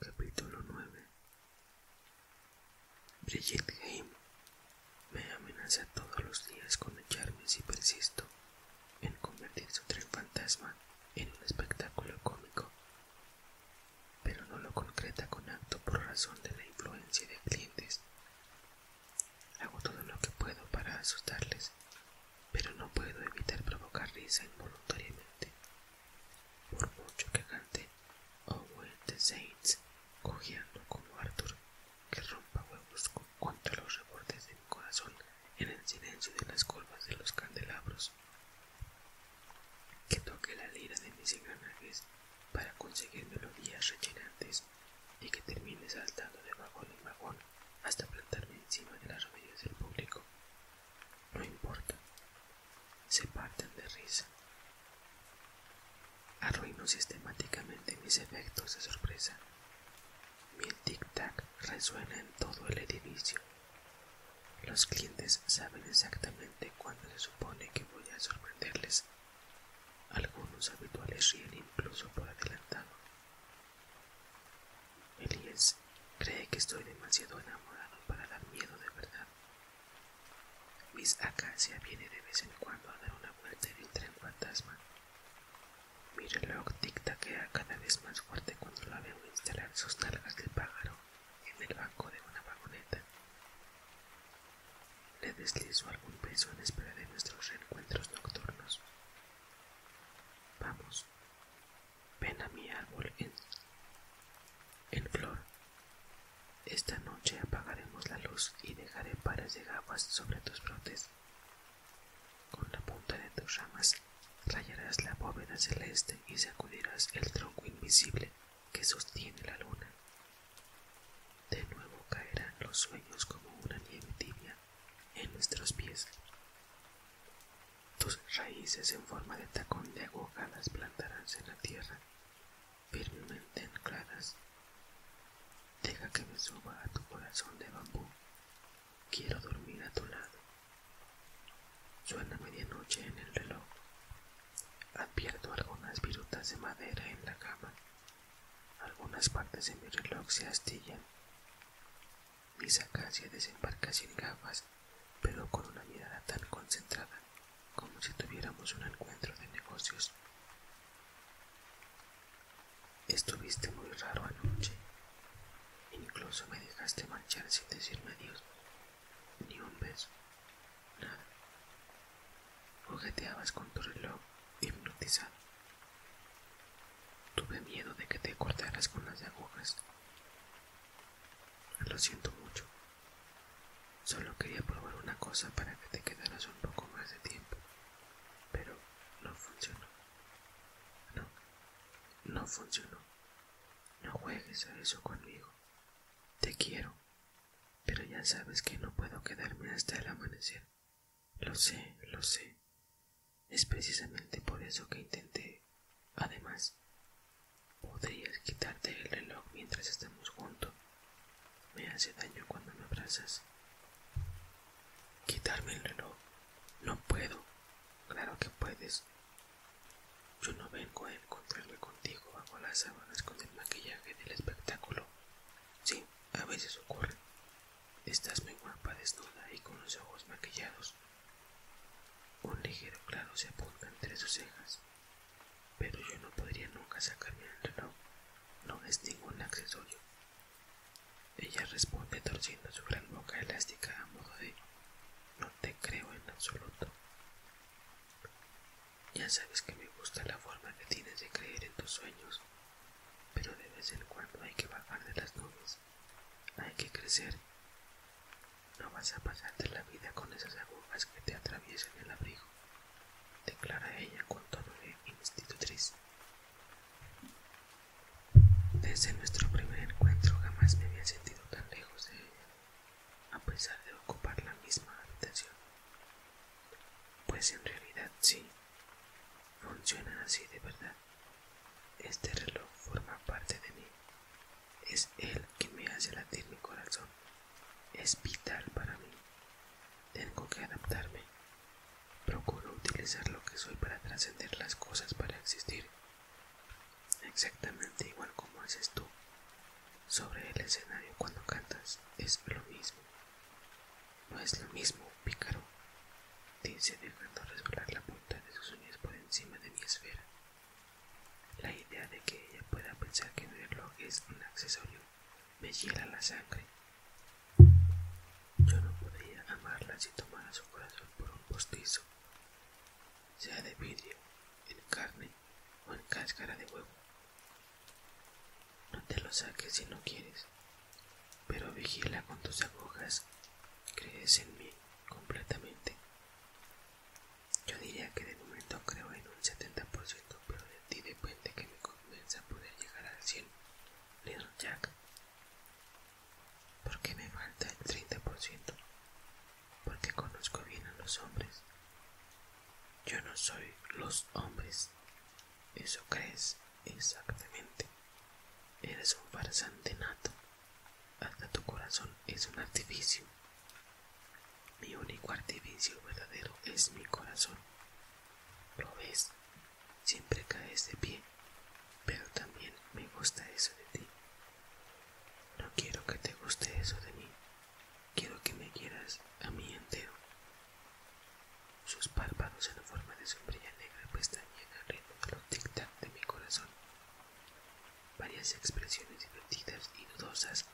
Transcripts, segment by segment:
Capítulo 9 Brigitte Game me amenaza todos los días con echarme si persisto en convertir su tren fantasma en un espectáculo cómico, pero no lo concreta con acto por razón de la influencia de clientes. Hago todo lo que puedo para asustarles pero no puedo evitar provocar risa involuntariamente. Por mucho que cante Owen oh, the Saints, cojeando como Arthur, que rompa huevos contra los rebordes de mi corazón en el silencio de las colvas de los candelabros, que toque la lira de mis engranajes para conseguir melodías rechinantes y que termine saltando de vagón en vagón hasta plantarme encima de las rodillas del público. No importa. Se parten de risa. Arruino sistemáticamente mis efectos de sorpresa. Mi tic-tac resuena en todo el edificio. Los clientes saben exactamente cuándo se supone que voy a sorprenderles. Algunos habituales ríen incluso por adelantado, Elías cree que estoy demasiado enamorado para dar miedo de verdad. Miss Acacia viene de vez en cuando a dar una vuelta en el tren fantasma. la reloj que ha cada vez más fuerte cuando la veo instalar sus nalgas de pájaro en el banco de una vagoneta. Le deslizo algún peso en espera de nuestros reencuentros nocturnos. Vamos, Ven a mi árbol en, flor. Esta noche apagaremos la luz y dejaré pares de gafas sobre tus brotes. Con la punta de tus ramas rayarás la bóveda celeste y sacudirás el tronco invisible que sostiene la luna. De nuevo caerán los sueños como una nieve tibia en nuestros pies. Tus raíces en forma de tacón de las plantarás en la tierra, firmemente ancladas. Deja que me suba a tu corazón de bambú. Quiero dormir a tu lado. Suena medianoche en el reloj. Advierto algunas virutas de madera en la cama. Algunas partes de mi reloj se astillan sacas y desembarcas sin gafas, pero con una mirada tan concentrada como si tuviéramos un encuentro de negocios. Estuviste muy raro anoche. Incluso me dejaste marchar sin decirme adiós, ni un beso, nada. Jugueteabas con tu reloj hipnotizado. Tuve miedo de que te cortaras con las agujas. Lo siento mucho. Solo quería probar una cosa para que te quedaras un poco más de tiempo. Pero no funcionó. No, no funcionó. No juegues a eso conmigo. Te quiero. Pero ya sabes que no puedo quedarme hasta el amanecer. Lo sé, lo sé. Es precisamente por eso que intenté. Además, podrías quitarte el reloj mientras estamos juntos. Me hace daño cuando me abrazas. Quitarme el reloj. No puedo. Claro que puedes. Yo no vengo a encontrarme contigo bajo las sábanas con el maquillaje del espectáculo. Sí, a veces ocurre. Estás muy guapa desnuda y con los ojos maquillados. Un ligero claro se apunta entre sus cejas, pero yo no podría nunca sacarme el reloj. No es ningún accesorio. Ella responde torciendo su gran boca elástica a modo de no te creo en absoluto. Ya sabes que me gusta la forma que tienes de creer en tus sueños, pero de vez en cuando hay que bajar de las nubes. Hay que crecer. No vas a pasarte la vida con esas agujas que te atraviesan el abrigo, declara ella con tono de institutriz. Desde nuestro primer encuentro jamás me había sentido tan lejos de ella, a pesar de ocupar la misma habitación. Pues en realidad sí, funciona así de verdad. Este reloj forma parte de mí. Es él que me hace latir mi corazón. Es vital para mí. Tengo que adaptarme. Procuro utilizar lo que soy para trascender las cosas para existir. Exactamente igual como haces tú. Sobre el escenario cuando cantas es lo mismo. No es lo mismo, pícaro. Dice dejando resbalar la punta de sus uñas por encima de mi esfera. La idea de que ella pueda pensar que verlo es un accesorio me hiela la sangre. Yo no podría amarla si tomara su corazón por un postizo, sea de vidrio, en carne o en cáscara de huevo. No te lo saques si no quieres, pero vigila con tus agujas. Crees en mí completamente. Yo diría que de momento creo en un 70%, pero de ti depende que me convenza poder llegar al 100, Little Jack. Porque me falta el 30%, porque conozco bien a los hombres. Yo no soy los hombres. Eso crees exactamente. Eres un farsante nato. Hasta tu corazón es un artificio. Mi único artificio verdadero es mi corazón. Lo ves, siempre caes de pie, pero también me gusta eso de ti. No quiero que te guste eso de mí, quiero que me quieras a mí entero. Sus párpados en forma de sombrilla negra puesta el ritmo de los tic-tac de mi corazón. Varias expresiones divertidas y dudosas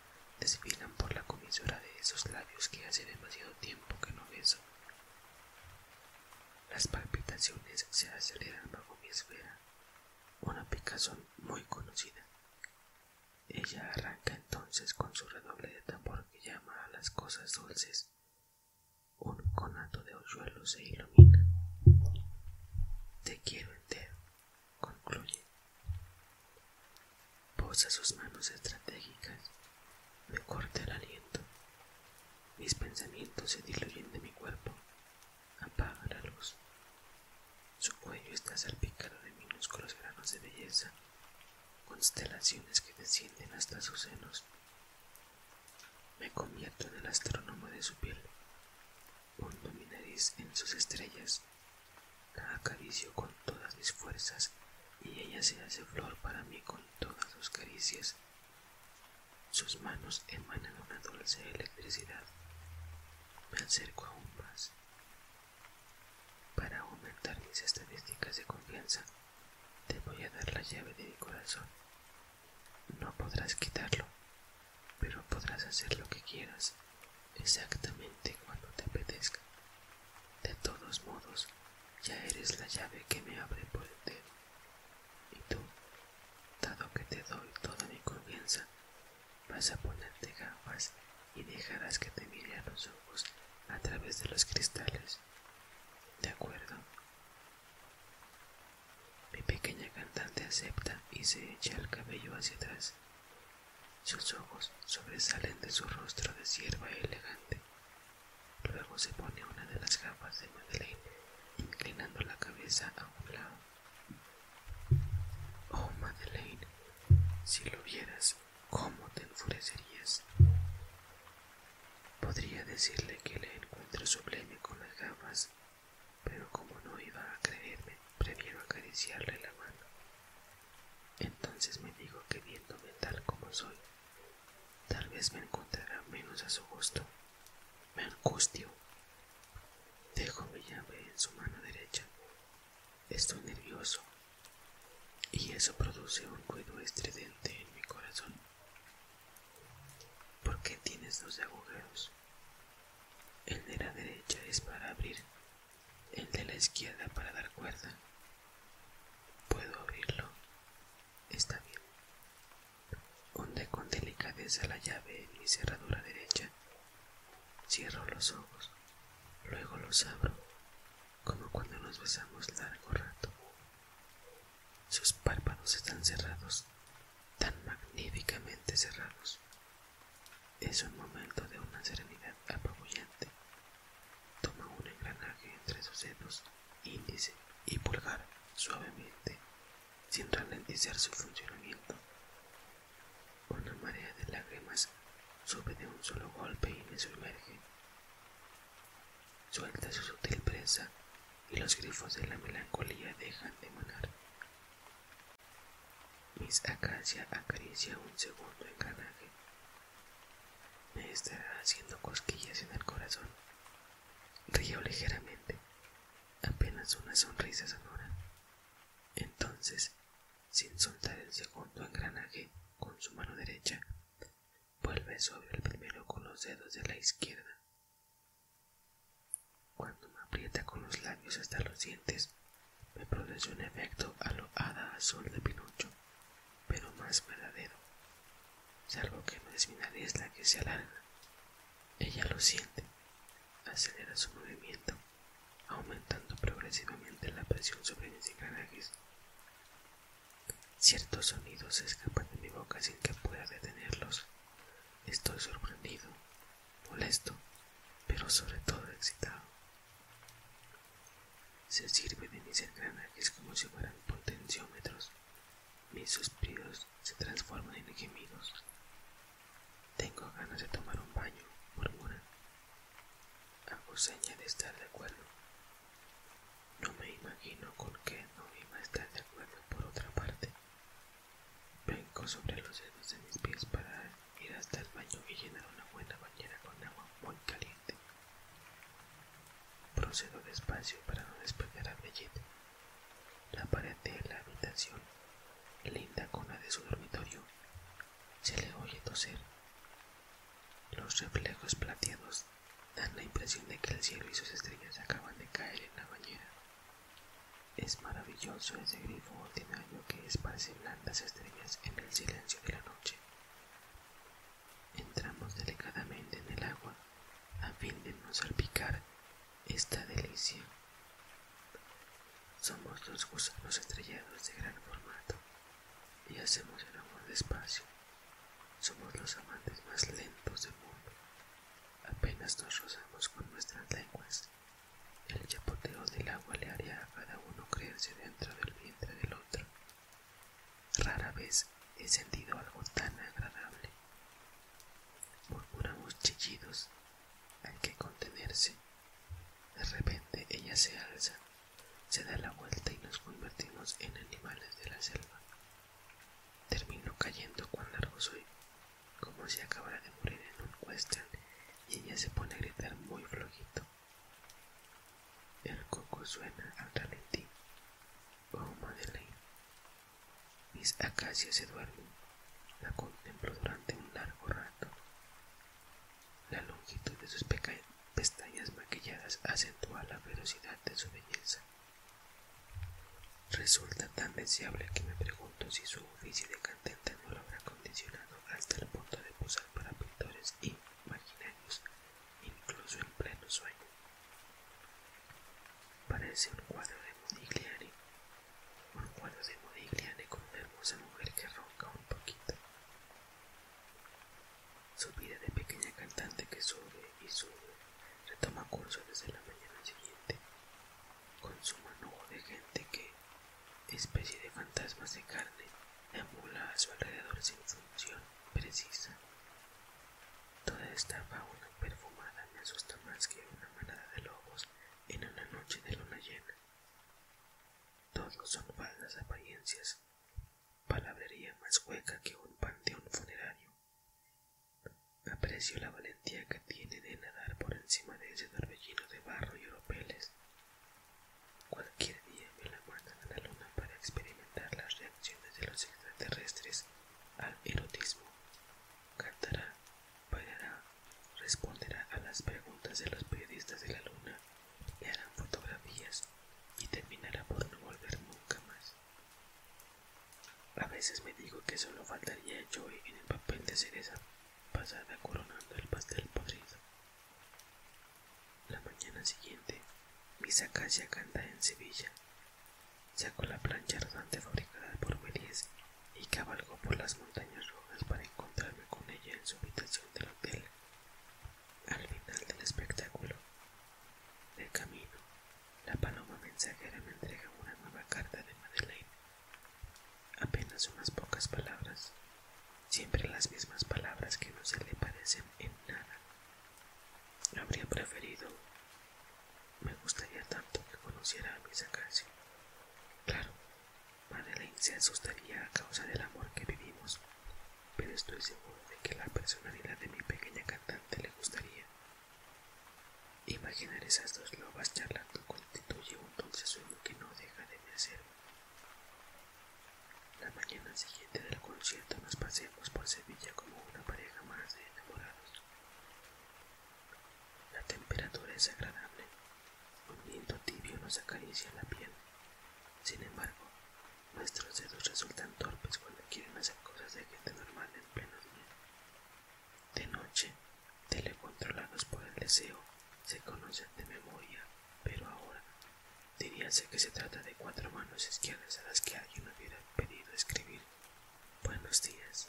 desfilan por la comisura de esos labios que hace demasiado tiempo que no beso. Las palpitaciones se aceleran bajo mi esfera, una picazón muy conocida. Ella arranca entonces con su redoble de tambor que llama a las cosas dulces. Un conato de hoyuelos e hilos te quiero entero, concluye. Posa sus manos estratégicas, me corta el aliento. Mis pensamientos se diluyen de mi cuerpo. Apaga la luz. Su cuello está salpicado de minúsculos granos de belleza, constelaciones que descienden hasta sus senos, me convierto en el astrónomo de su piel. Hundo mi nariz en sus estrellas. La acaricio con todas mis fuerzas y ella se hace flor para mí con todas sus caricias. Sus manos emanan una dulce electricidad. Me acerco aún más. Para aumentar mis estadísticas de confianza, te voy a dar la llave de mi corazón no podrás quitarlo, pero podrás hacer lo que quieras exactamente cuando te apetezca. De todos modos, ya eres la llave que me abre por entero. Y tú, dado que te doy toda mi confianza, vas a ponerte gafas y dejarás que te mire a los ojos a través de los cristales. ¿De acuerdo? Mi pequeña cantante acepta y se echa el cabello hacia atrás. Sus ojos sobresalen de su rostro de sierva elegante. Luego se pone una de las gafas de Madeleine, inclinando la cabeza a un lado. Oh, Madeleine, si lo vieras, ¿cómo te enfurecerías? Podría decirle que le encuentro sublime con las gafas pero como no iba a creerme, prefiero acariciarle la mano. Entonces me digo que viéndome tal como soy, tal vez me encontrará menos a su gusto. Me angustio. Dejo mi llave en su mano derecha. Estoy nervioso y eso produce un ruido estridente en mi corazón. ¿Por qué tienes dos agujeros? El de la derecha es para abrir, el de la izquierda para dar cuerda. ¿Puedo abrirlo? Está bien. Honde con delicadeza la llave en mi cerradura derecha. Cierro los ojos, luego los abro, como cuando nos besamos largo rato. Sus párpados están cerrados tan magníficamente cerrados. Es un momento de una serenidad apabullante. Toma un engranaje entre sus dedos, índice y pulgar suavemente, sin ralentizar su funcionamiento. Una marea de lágrimas sube de un solo golpe y me sumerge. Suelta su sutil presa y los grifos de la melancolía dejan de manar. Miss Acacia acaricia un segundo engranaje. Me estará haciendo cosquillas en el corazón. Río ligeramente, apenas una sonrisa sonora. Entonces, sin soltar el segundo engranaje con su mano derecha, vuelve sobre el primero con los dedos de la izquierda cuando me aprieta con los labios hasta los dientes, me produce un efecto a lo azul de Pinocho, pero más verdadero, salvo que no es mi nariz la que se alarga. Ella lo siente, acelera su movimiento, aumentando progresivamente la presión sobre mis engranajes. Ciertos sonidos escapan de mi boca sin que pueda detenerlos. Estoy sorprendido, molesto, pero sobre todo excitado. Se sirve de mis engranajes como si fueran potenciómetros. Mis suspiros se transforman en gemidos. Tengo ganas de tomar un baño, murmura. Hago seña de estar de acuerdo. No me imagino con qué no iba a estar de acuerdo por otra parte. Vengo sobre los dedos de mis pies para ir hasta el baño y llenar una buena bañera con agua muy caliente. Procedo despacio para no despertar a bellete. La pared de la habitación, linda con de su dormitorio, se le oye toser. Los reflejos plateados dan la impresión de que el cielo y sus estrellas acaban de caer en la bañera. Es maravilloso ese grifo ordinario que esparce blandas estrellas en el silencio de la noche. Entramos delicadamente en el agua a fin de no salpicar esta delicia. Somos los gusanos estrellados de gran formato y hacemos el amor despacio. Somos los amantes más lentos del mundo. Apenas nos rozamos con nuestras lenguas. El chapoteo del agua le haría a cada uno creerse dentro del vientre del otro. Rara vez he sentido algo tan agradable. Murmuramos chillidos. Hay que contenerse. De repente ella se alza, se da la vuelta y nos convertimos en animales de la selva. Termino cayendo cuán largo soy como si acabara de morir en un cuesta y ella se pone a gritar muy flojito. El coco suena al ralentí. Oh, Madeleine. Mis acacias se duermen. La contemplo durante un largo rato. La longitud de sus pestañas maquilladas acentúa la velocidad de su belleza. Resulta tan deseable que me pregunto si su oficio de cantante no lo habrá condicionado hasta el punto de posar para pintores y imaginarios, incluso en pleno sueño. Parece un cuadro de Modigliani, un cuadro de Modigliani con una hermosa mujer que ronca un poquito. Su vida de pequeña cantante que sube y sube, retoma curso desde la mañana siguiente, con su manojo de gente que, especie de fantasmas de carne, emula a su alrededor sin función precisa. Toda esta fauna perfumada me asusta más que una manada de lobos en una noche de luna llena. Todos son falsas apariencias, palabrería más hueca que un panteón funerario. Aprecio la valentía que tiene de nadar por encima de ese torbellino de barro y oropeles. Cualquier día me la muerte a la luna para experimentar las reacciones de los extraterrestres al erotismo. Cantará, bailará, responderá a las preguntas de los periodistas de la luna, le harán fotografías y terminará por no volver nunca más. A veces me digo que solo faltaría yo en el papel de cereza pasada coronando el pastel podrido. La mañana siguiente, misa Acacia canta en Sevilla. Sacó la plancha rodante fabricada por Melies y cabalgó por las montañas rojas para encontrarme con ella en su habitación del hotel. Al final del espectáculo, de camino, la paloma mensajera me entrega una nueva carta de Madeleine Apenas unas pocas palabras, siempre las mismas palabras que no se le parecen en nada. Habría preferido. Me gustaría tanto que conociera a mi sacarse. Claro, Madeleine se asustaría a causa del amor que vivimos, pero estoy seguro de que la personalidad de mi pequeña cantante le gustaría. Imaginar esas dos lobas charlando constituye un dulce sueño que no deja de me La mañana siguiente del concierto nos paseamos por Sevilla como una pareja más de enamorados. La temperatura es agradable, un viento tibio nos acaricia la piel. Sin embargo, nuestros dedos resultan torpes cuando quieren hacer cosas de gente normal en pleno día. De noche, telecontrolados por el deseo, se conocen de memoria, pero ahora diríanse que se trata de cuatro manos izquierdas a las que alguien hubiera pedido escribir. Buenos días.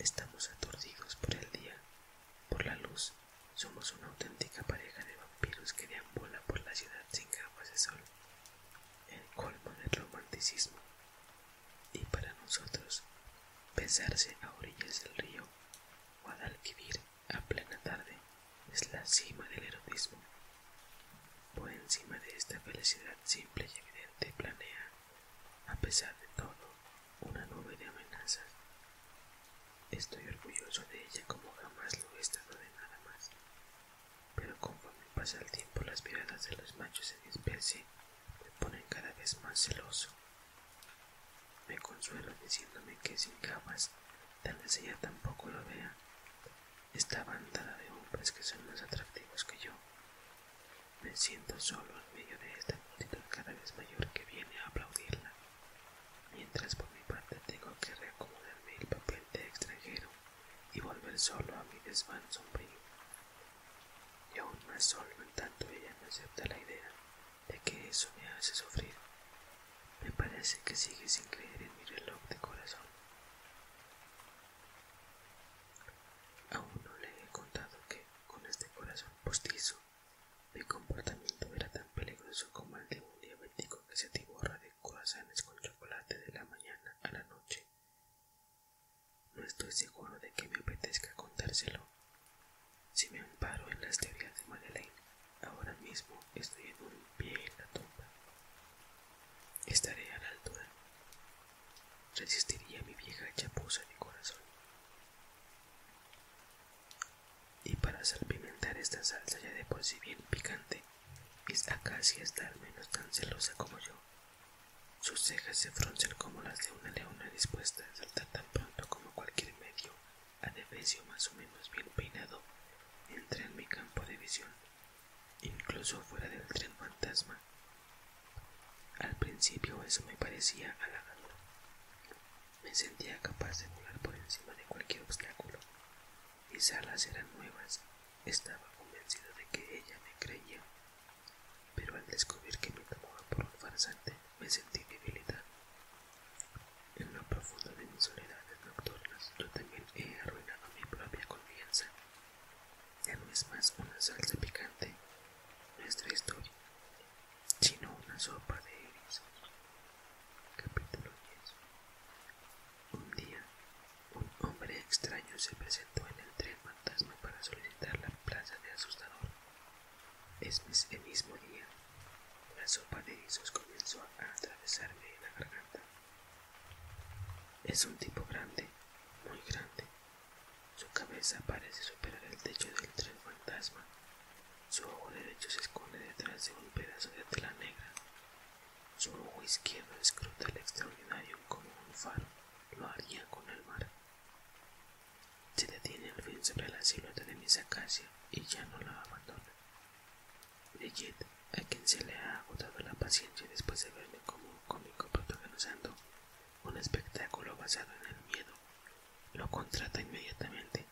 Estamos aturdidos por el día, por la luz. Somos una auténtica pareja de vampiros que bola por la ciudad sin capas de sol. El colmo del romanticismo y para nosotros pensarse a orillas del río Guadalquivir a plena tarde es la cima del erotismo. Por encima de esta felicidad simple y evidente planea, a pesar de todo, una nube de amenazas. Estoy orgulloso de ella como jamás lo he estado de nada más. Pero conforme pasa el tiempo las miradas de los machos se especie me ponen cada vez más celoso me consuelo diciéndome que sin gafas tal vez ella tampoco lo vea. esta bandada de hombres que son más atractivos que yo. Me siento solo en medio de esta multitud cada vez mayor que viene a aplaudirla, mientras por mi parte tengo que reacomodarme el papel de extranjero y volver solo a mi desván sombrío. Y aún más solo en tanto ella no acepta la idea de que eso me hace sufrir. Me parece que sigue sin creer en mi reloj de corazón. Aún no le he contado que con este corazón postizo mi comportamiento era tan peligroso como el de un diabético que se tiborra de corazones con chocolate de la mañana a la noche. No estoy seguro de que me apetezca contárselo. Si me amparo en las teorías de Madeleine, ahora mismo estoy en un pie en la tumba. Estaré a la altura. Resistiría mi vieja chapuza de corazón. Y para salpimentar esta salsa ya de por sí bien picante, es está al menos tan celosa como yo. Sus cejas se fruncen como las de una leona dispuesta a saltar pronto como cualquier medio a adefesio más o menos bien peinado entré en mi campo de visión, incluso fuera del tren fantasma. Al principio eso me parecía halagador. Me sentía capaz de volar por encima de cualquier obstáculo. Mis alas eran nuevas. Estaba convencido de que ella me creía pero al descubrir que me tomaba por un farsante me sentí debilitado En la profundo de mis soledades nocturnas yo también he arruinado mi propia confianza. Ya no es más una salsa picante nuestra historia, sino una sopa de erizos. Capítulo 10 Un día, un hombre extraño se presentó en el tren fantasma para solicitar la plaza de asustador. Es el mismo día. La sopa de guisos comenzó a atravesarme en la garganta. Es un tipo grande, muy grande. Su cabeza parece superar el techo del tren fantasma. Su ojo derecho se esconde detrás de un pedazo de tela negra. Su ojo izquierdo escruta el extraordinario como un faro lo haría con el mar. Se detiene el fin sobre la silueta de mi acacias y ya no la abandona. Legit, a quien se le ha agotado la paciencia después de verme como un cómico protagonizando un espectáculo basado en el miedo, lo contrata inmediatamente.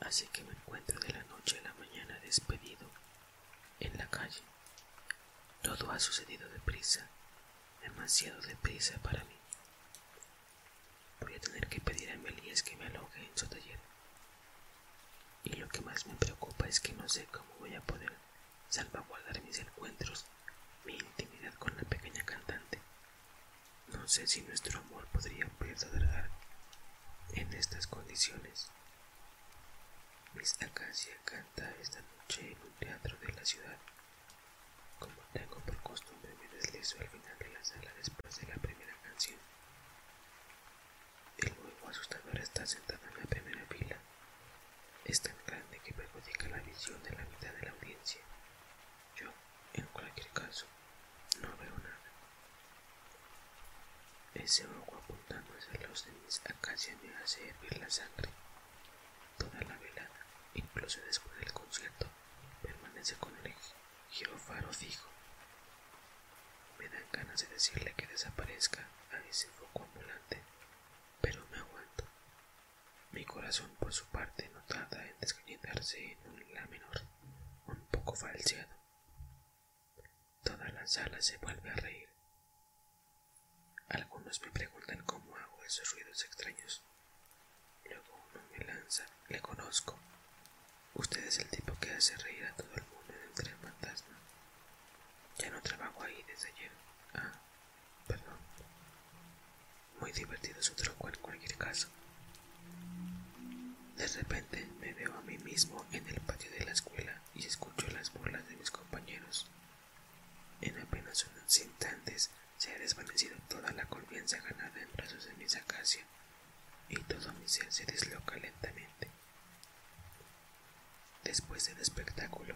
Así que me encuentro de la noche a la mañana despedido en la calle. Todo ha sucedido deprisa, demasiado deprisa para mí. Voy a tener que pedir a Melías que me aloje en su taller. Y lo que más me preocupa es que no sé cómo voy a poder salvaguardar mis encuentros, mi intimidad con la pequeña cantante. No sé si nuestro amor podría perdonar en estas condiciones. Miss Acacia canta esta noche en un teatro de la ciudad como tengo por costumbre, me deslizo al final de la sala después de la primera canción. El huevo asustador está sentado en la primera fila. Es tan grande que perjudica la visión de la mitad de la audiencia. Yo, en cualquier caso, no veo nada. Ese huevo apuntando hacia los de mis me hace hervir la sangre. Toda la velada, incluso después del concierto, permanece con el girofaro fijo. Me dan ganas de decirle que desaparezca a ese foco ambulante, pero me aguanto. Mi corazón, por su parte, no tarda en descenderse en un la menor, un poco falseado. Toda la sala se vuelve a reír. Algunos me preguntan cómo hago esos ruidos extraños Luego uno me lanza, le conozco. Usted es el tipo que hace reír a todo el mundo en el fantasma. Ya no trabajo ahí desde ayer. Ah, perdón. Muy divertido su truco en cualquier caso. De repente me veo a mí mismo en el patio de la escuela y escucho las burlas de mis compañeros en apenas unos instantes se ha desvanecido toda la confianza ganada en brazos de mis acacia y todo mi ser se desloca lentamente. Después del espectáculo,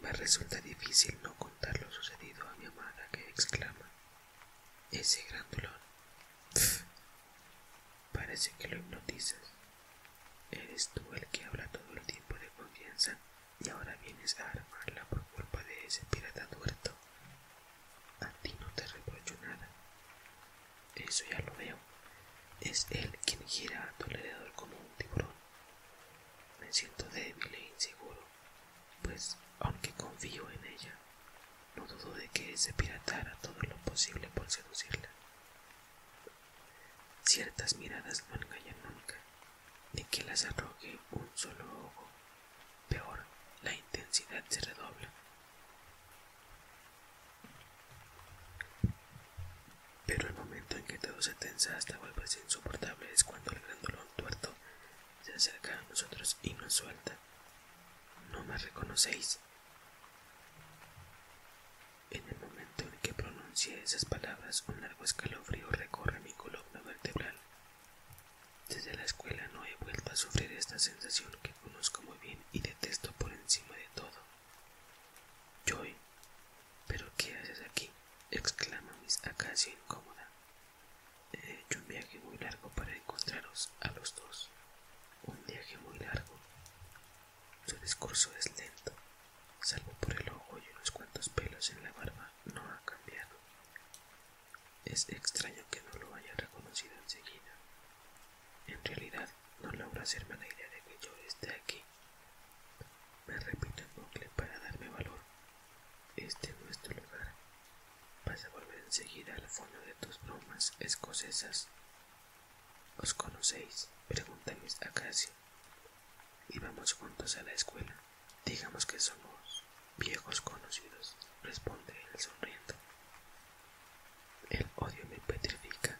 me resulta difícil no contar lo sucedido a mi amada que exclama, ese gran dolor. parece que lo hipnotizas. ¿Eres tú el que habla todo el tiempo de confianza y ahora vienes a armarla por culpa de ese pirata tuerto. A ti no te reprocho nada. Eso ya lo veo. Es él quien gira a tu alrededor como un tiburón. Me siento débil e inseguro, pues aunque confío en ella, no dudo de que ese pirata hará todo lo posible por seducirla. Ciertas miradas no engañan nunca, de que las arroje un solo ojo. Peor, la intensidad se redobla. Pero el momento en que todo se tensa hasta volverse insoportable es cuando el grandolón tuerto se acerca a nosotros y nos suelta. No me reconocéis. En el momento en que pronuncie esas palabras, un largo escalofrío recorre mi columna vertebral. Desde la escuela no he vuelto a sufrir esta sensación que conozco muy bien y detesto por encima de todo. Joy, ¿pero qué haces aquí? exclama Miss Acacia incómoda. He hecho un viaje muy largo para encontraros a los dos. Un viaje muy largo. Su discurso es lento, salvo por el ojo y unos cuantos pelos en la barba, no ha cambiado. Es extraño que no lo haya reconocido enseguida. En realidad, no logra hacerme la idea de que yo esté aquí. Me repito el bucle para darme valor. Este es nuestro lugar. Vas a volver enseguida al fondo de tus bromas escocesas. ¿Os conocéis? Pregunta a Y vamos juntos a la escuela. Digamos que somos viejos conocidos, responde él sonriendo. El odio me petrifica.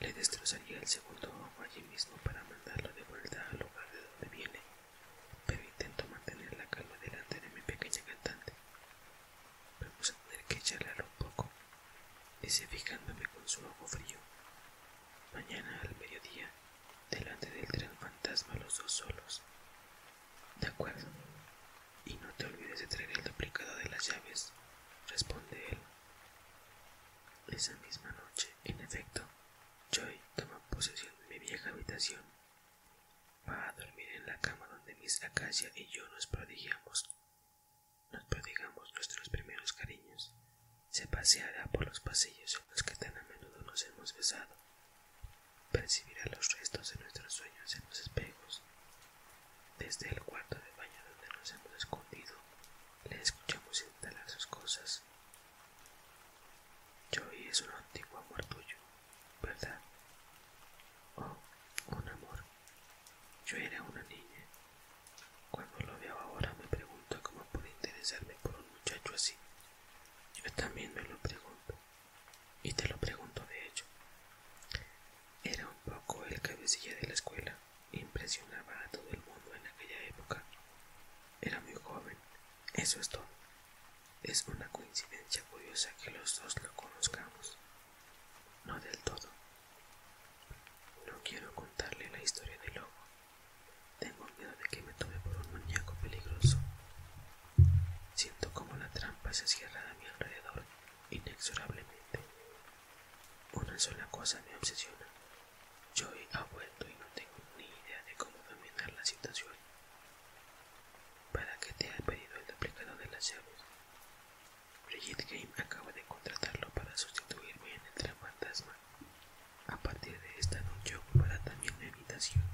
Le destrozaría el segundo ojo allí mismo para mandarlo de vuelta al lugar de donde viene, pero intento mantener la calma delante de mi pequeña cantante. Vamos a tener que charlar un poco, dice fijándome con su ojo frío. Mañana al mediodía delante del tren fantasma los dos solos. De acuerdo. Y no te olvides de traer el duplicado de las llaves, responde él. Esa misma noche, en efecto, Joy toma posesión de mi vieja habitación. Va a dormir en la cama donde Miss Acacia y yo nos prodigiamos. Nos prodigamos nuestros primeros cariños. Se paseará por los pasillos en los que tan a menudo nos hemos besado Percibirá los restos de nuestros sueños en los espejos. Desde el cuarto de baño donde nos hemos escondido, le escuchamos instalar sus cosas. yo es un antiguo amor tuyo, ¿verdad? Oh, un amor. Yo era una niña. Cuando lo veo ahora me pregunto cómo puede interesarme por un muchacho así. Yo también me lo pregunto, y te lo pregunto de hecho. Era un poco el cabecilla de la escuela, impresionaba a todo el mundo en aquella época. Era muy joven, eso es todo. Es una coincidencia curiosa que los dos lo conozcamos. No del todo. No quiero contarle la historia del lobo, tengo miedo de que me tome por un maníaco peligroso. Siento como la trampa se cierra a mi alrededor inexorablemente. Una sola cosa me obsesiona. Joy ha vuelto y no tengo ni idea de cómo dominar la situación. ¿Para qué te ha pedido el duplicado de las llaves? Brigitte Game acaba de contratarlo para sustituirme en el tren fantasma. A partir de esta noche ocupará también la habitación.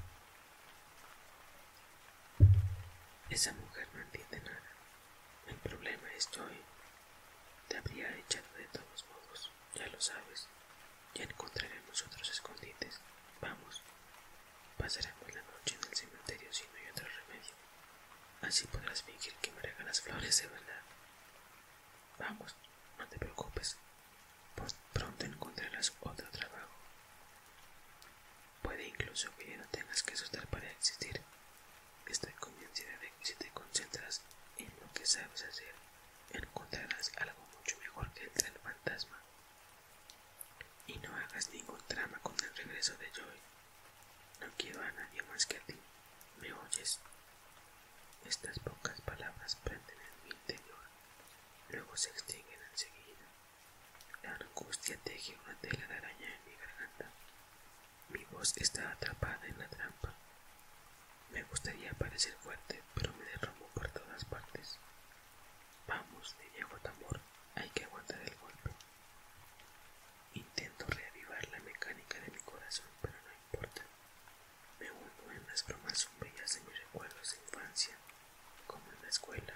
Esa mujer no entiende nada. El problema es Joy. Te habría echado de todos modos, ya lo sabes. Ya encontraremos otros escondites. Vamos. Pasaremos la noche en el cementerio si no hay otro remedio. Así podrás fingir que me las flores de verdad. Vamos, no te preocupes pronto encontrarás otro trabajo. Puede incluso que no tengas que asustar para existir. Estoy convencida de que si te concentras en lo que sabes hacer, encontrarás algo mucho mejor que el del fantasma. Y no hagas ningún drama con el regreso de Joy. No quiero a nadie más que a ti. ¿Me oyes? Estas pocas palabras prenden en mi interior luego se extinguen enseguida. La angustia teje una tela de araña en mi garganta. Mi voz está atrapada en la trampa. Me gustaría parecer fuerte, pero me derramo por todas partes. Vamos, de tamor, hay que aguantar el golpe. Intento reavivar la mecánica de mi corazón, pero no importa. Me hundo en las bromas sombrías de mis recuerdos de infancia como en la escuela,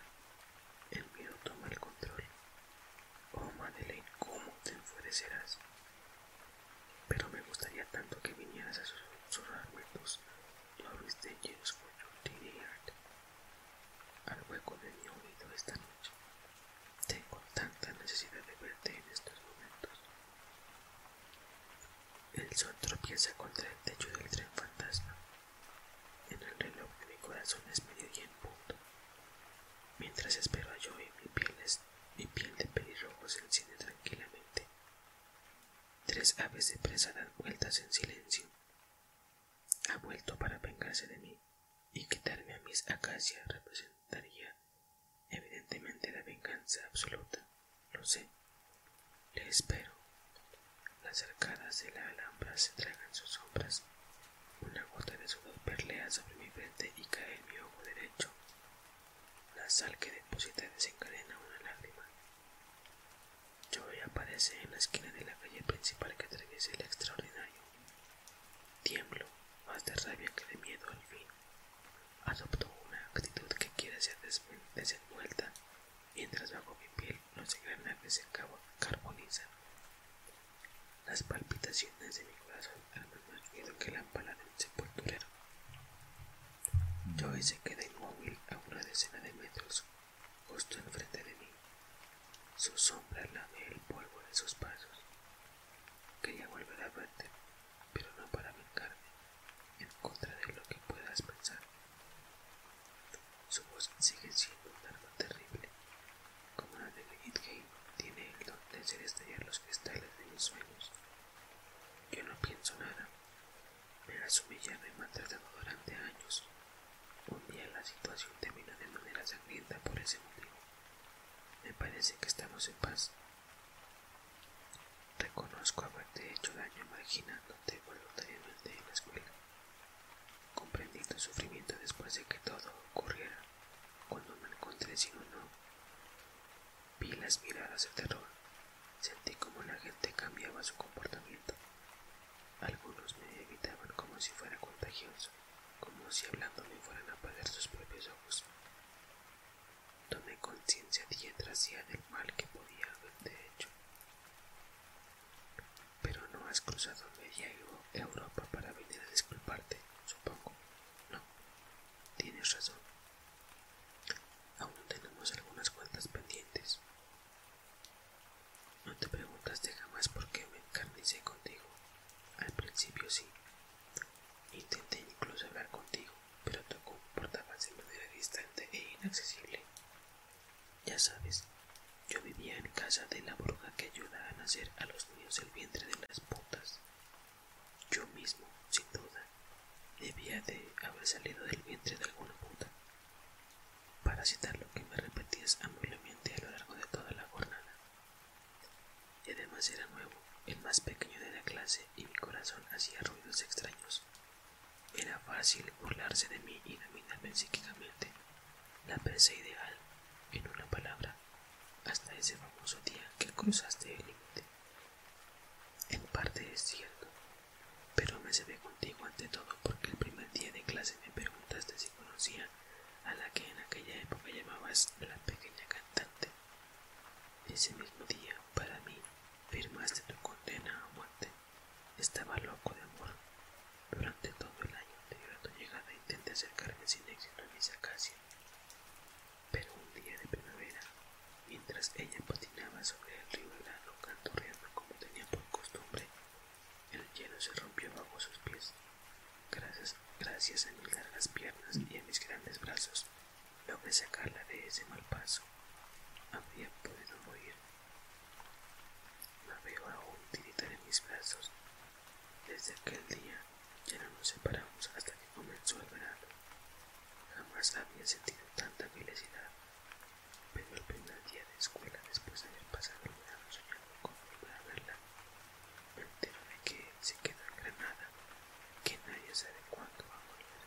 el miedo toma el control. Oh, Madeleine, ¿cómo te enfurecerás? Pero me gustaría tanto que vinieras a susurrarme tus Loris de for your tiny al hueco de mi oído esta noche. Tengo tanta necesidad de verte en estos momentos. El sol tropieza contra el techo del tren fantasma en el reloj de mi corazón es mediodía en punto. Mientras espero a Joey, mi piel, mi piel de pelirrojo se enciende tranquilamente. Tres aves de presa dan vueltas en silencio. Ha vuelto para vengarse de mí y quitarme a mis acacias representaría evidentemente la venganza absoluta. Lo sé. Le espero. Las arcadas de la alhambra se tragan sus sombras. Una gota de sudor perlea sobre mi frente y cae en mi ojo derecho. La sal que deposita desencadena una lágrima. Joey aparece en la esquina de la calle principal que atraviesa el extraordinario. Tiemblo, más de rabia que de miedo al fin. Adopto una actitud que quiere ser desenvuelta mientras bajo mi piel los engranajes se carbonizan. Las palpitaciones de mi corazón al y lo que la pala de un sepulturero. Yo se quedé inmóvil a una decena de metros, justo enfrente de mí. Su sombra lame el polvo de sus pasos. Quería volver a verte, pero no para vengarme, en contra de lo que puedas pensar. Su voz sigue siendo un terrible. Como la de David Game, tiene el don de ser estallar los cristales de mis sueños. Yo no pienso nada. Me su humilla me maltratado durante años. Un día la situación termina de manera sangrienta por ese motivo. Me parece que estamos en paz. Reconozco haberte hecho daño marginándote voluntariamente en la escuela. Comprendí tu sufrimiento después de que todo ocurriera, cuando me encontré sin uno. Vi las miradas de terror, sentí como la gente cambiaba su comportamiento. Algunos me evitaban como si fuera contagioso, como si hablándome fueran a parar sus propios ojos. Tomé conciencia de del mal que podía haber hecho. Pero no has cruzado media Europa para venir a disculparte, supongo. No, tienes razón. Aún tenemos algunas cuentas pendientes. No te preguntaste jamás por qué me encarnicé contigo. Al principio sí. Intenté incluso hablar contigo, pero te comportabas de manera distante e inaccesible. Ya sabes, yo vivía en casa de la bruja que ayuda a nacer a los niños el vientre de las putas. Yo mismo, sin duda, debía de haber salido del vientre de alguna puta. Para citar lo que me repetías amablemente a lo largo de toda la jornada. Y además era nuevo, el más pequeño de la clase, y mi corazón hacía ruidos extraños era fácil burlarse de mí y dominarme psíquicamente. La presa ideal, en una palabra, hasta ese famoso día que cruzaste el límite. En parte es cierto, pero me se ve contigo ante todo porque el primer día de clase me preguntaste si conocía a la que en aquella época llamabas la pequeña cantante. Ese mismo día, para mí, firmaste tu condena a muerte. Estaba loco de amor. Durante todo el año de a llegada intenté acercarme sin éxito a mi Pero un día de primavera, mientras ella patinaba sobre el río helado canturreando como tenía por costumbre, el hielo se rompió bajo sus pies. Gracias, gracias a mis largas piernas y a mis grandes brazos, logré sacarla de ese mal paso. Habría podido morir la veo aún tiritar en mis brazos. Desde aquel día ya no nos separamos hasta que comenzó el verano. Jamás había sentido tanta felicidad, pero el primer día de escuela después de haber pasado el verano soñando con volver a verla, me entero de que se queda en Granada, que nadie sabe cuándo va a volver.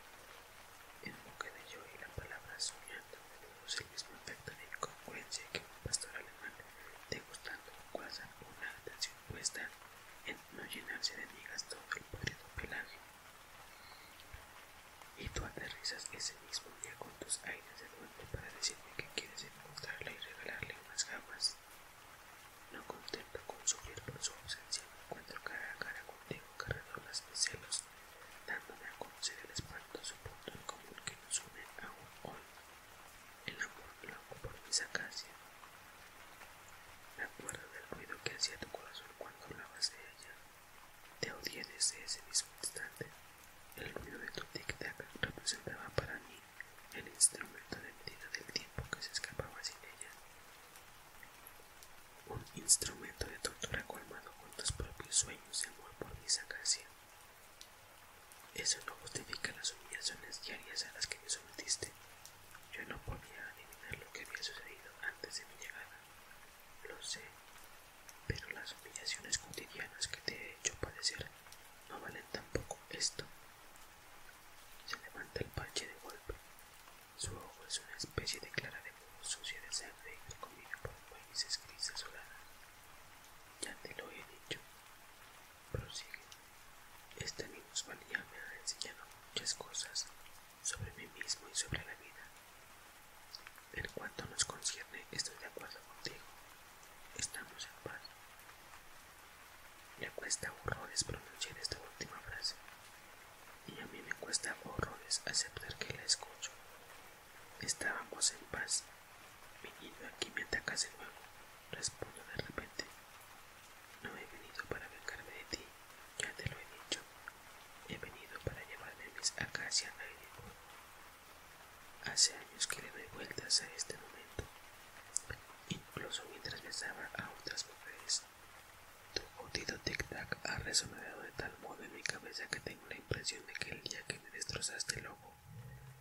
En boca de yo la palabra soñando el mismo efecto de incongruencia que un pastor alemán, degustando un es una atención puesta en no llenarse de migas todo el podrido pelaje. Y tú aterrizas ese mismo día con tus aires de duende para decirme que quieres encontrarle y regalarle unas gafas. No contento con sufrir por su ausencia, me encuentro cara a cara contigo, cargador de celos dándome a conocer el espantoso punto en común que nos une aún hoy, el amor loco por mis acacias. Me acuerdo del ruido que hacía tu corazón cuando hablabas de ella. Te odié desde ese mismo instante. El ruido de tu tic-tac representaba para mí el instrumento de medida del tiempo que se escapaba sin ella. Un instrumento de tortura colmado con tus propios sueños por mi sacracia. Eso no justifica las humillaciones diarias a las que me sometiste. Yo no podía adivinar lo que había sucedido antes de mi llegada. Lo sé, pero las humillaciones cotidianas que te he hecho padecer no valen tampoco esto. Se levanta el panche de golpe. Su ojo es una especie de clara de muro sucia de sangre y comida por raíces grises ya te lo he dicho, prosigue. Esta minusvalía me ha enseñado muchas cosas sobre mí mismo y sobre la vida. En cuanto nos concierne, estoy de acuerdo contigo. Estamos en paz. me cuesta horrores pronunciar esta última frase, y a mí me cuesta horrores aceptar que la escucho Estábamos en paz. Venido aquí me atacas de nuevo, respondo de repente. No he venido para vengarme de ti, ya te lo he dicho. He venido para llevarme mis casa a aire. Hace años que le doy vueltas a este momento, incluso mientras besaba a otras mujeres. Tu jodido tic-tac ha resonado de tal modo en mi cabeza que tengo la impresión de que el día que me destrozaste el ojo,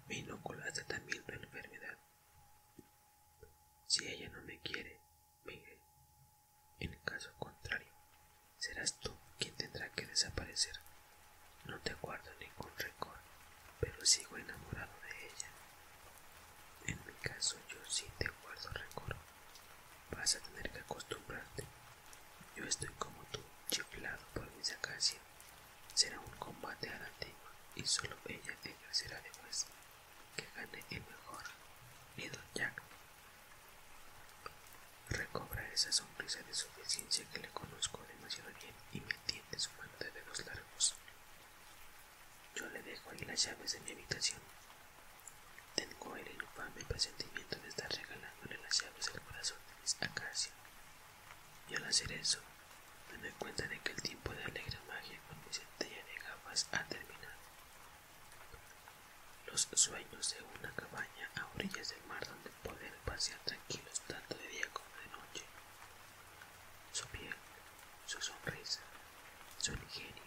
me inoculaste también la enfermedad. Si ella no me quiere, me En caso contrario, serás tú quien tendrá que desaparecer. No te guardo ningún récord, pero sigo enamorado de ella. En mi caso, yo sí te guardo récord. Vas a tener que acostumbrarte yo estoy como tú, chiflado por mis acacias. Será un combate a la antigua y solo ella ejercerá de juez. Que gane el mejor, miedo Jack. Recobra esa sonrisa de suficiencia que le conozco demasiado bien y me tiende su mano de dedos largos. Yo le dejo ahí las llaves de mi habitación. Tengo el infame presentimiento de estar regalándole las llaves al corazón de mis acacias. Y al hacer eso, me doy cuenta de que el tiempo de alegre magia con mi centella de gafas ha terminado. Los sueños de una cabaña a orillas del mar donde poder pasear tranquilos tanto de día como de noche. Su piel, su sonrisa, su ingenio,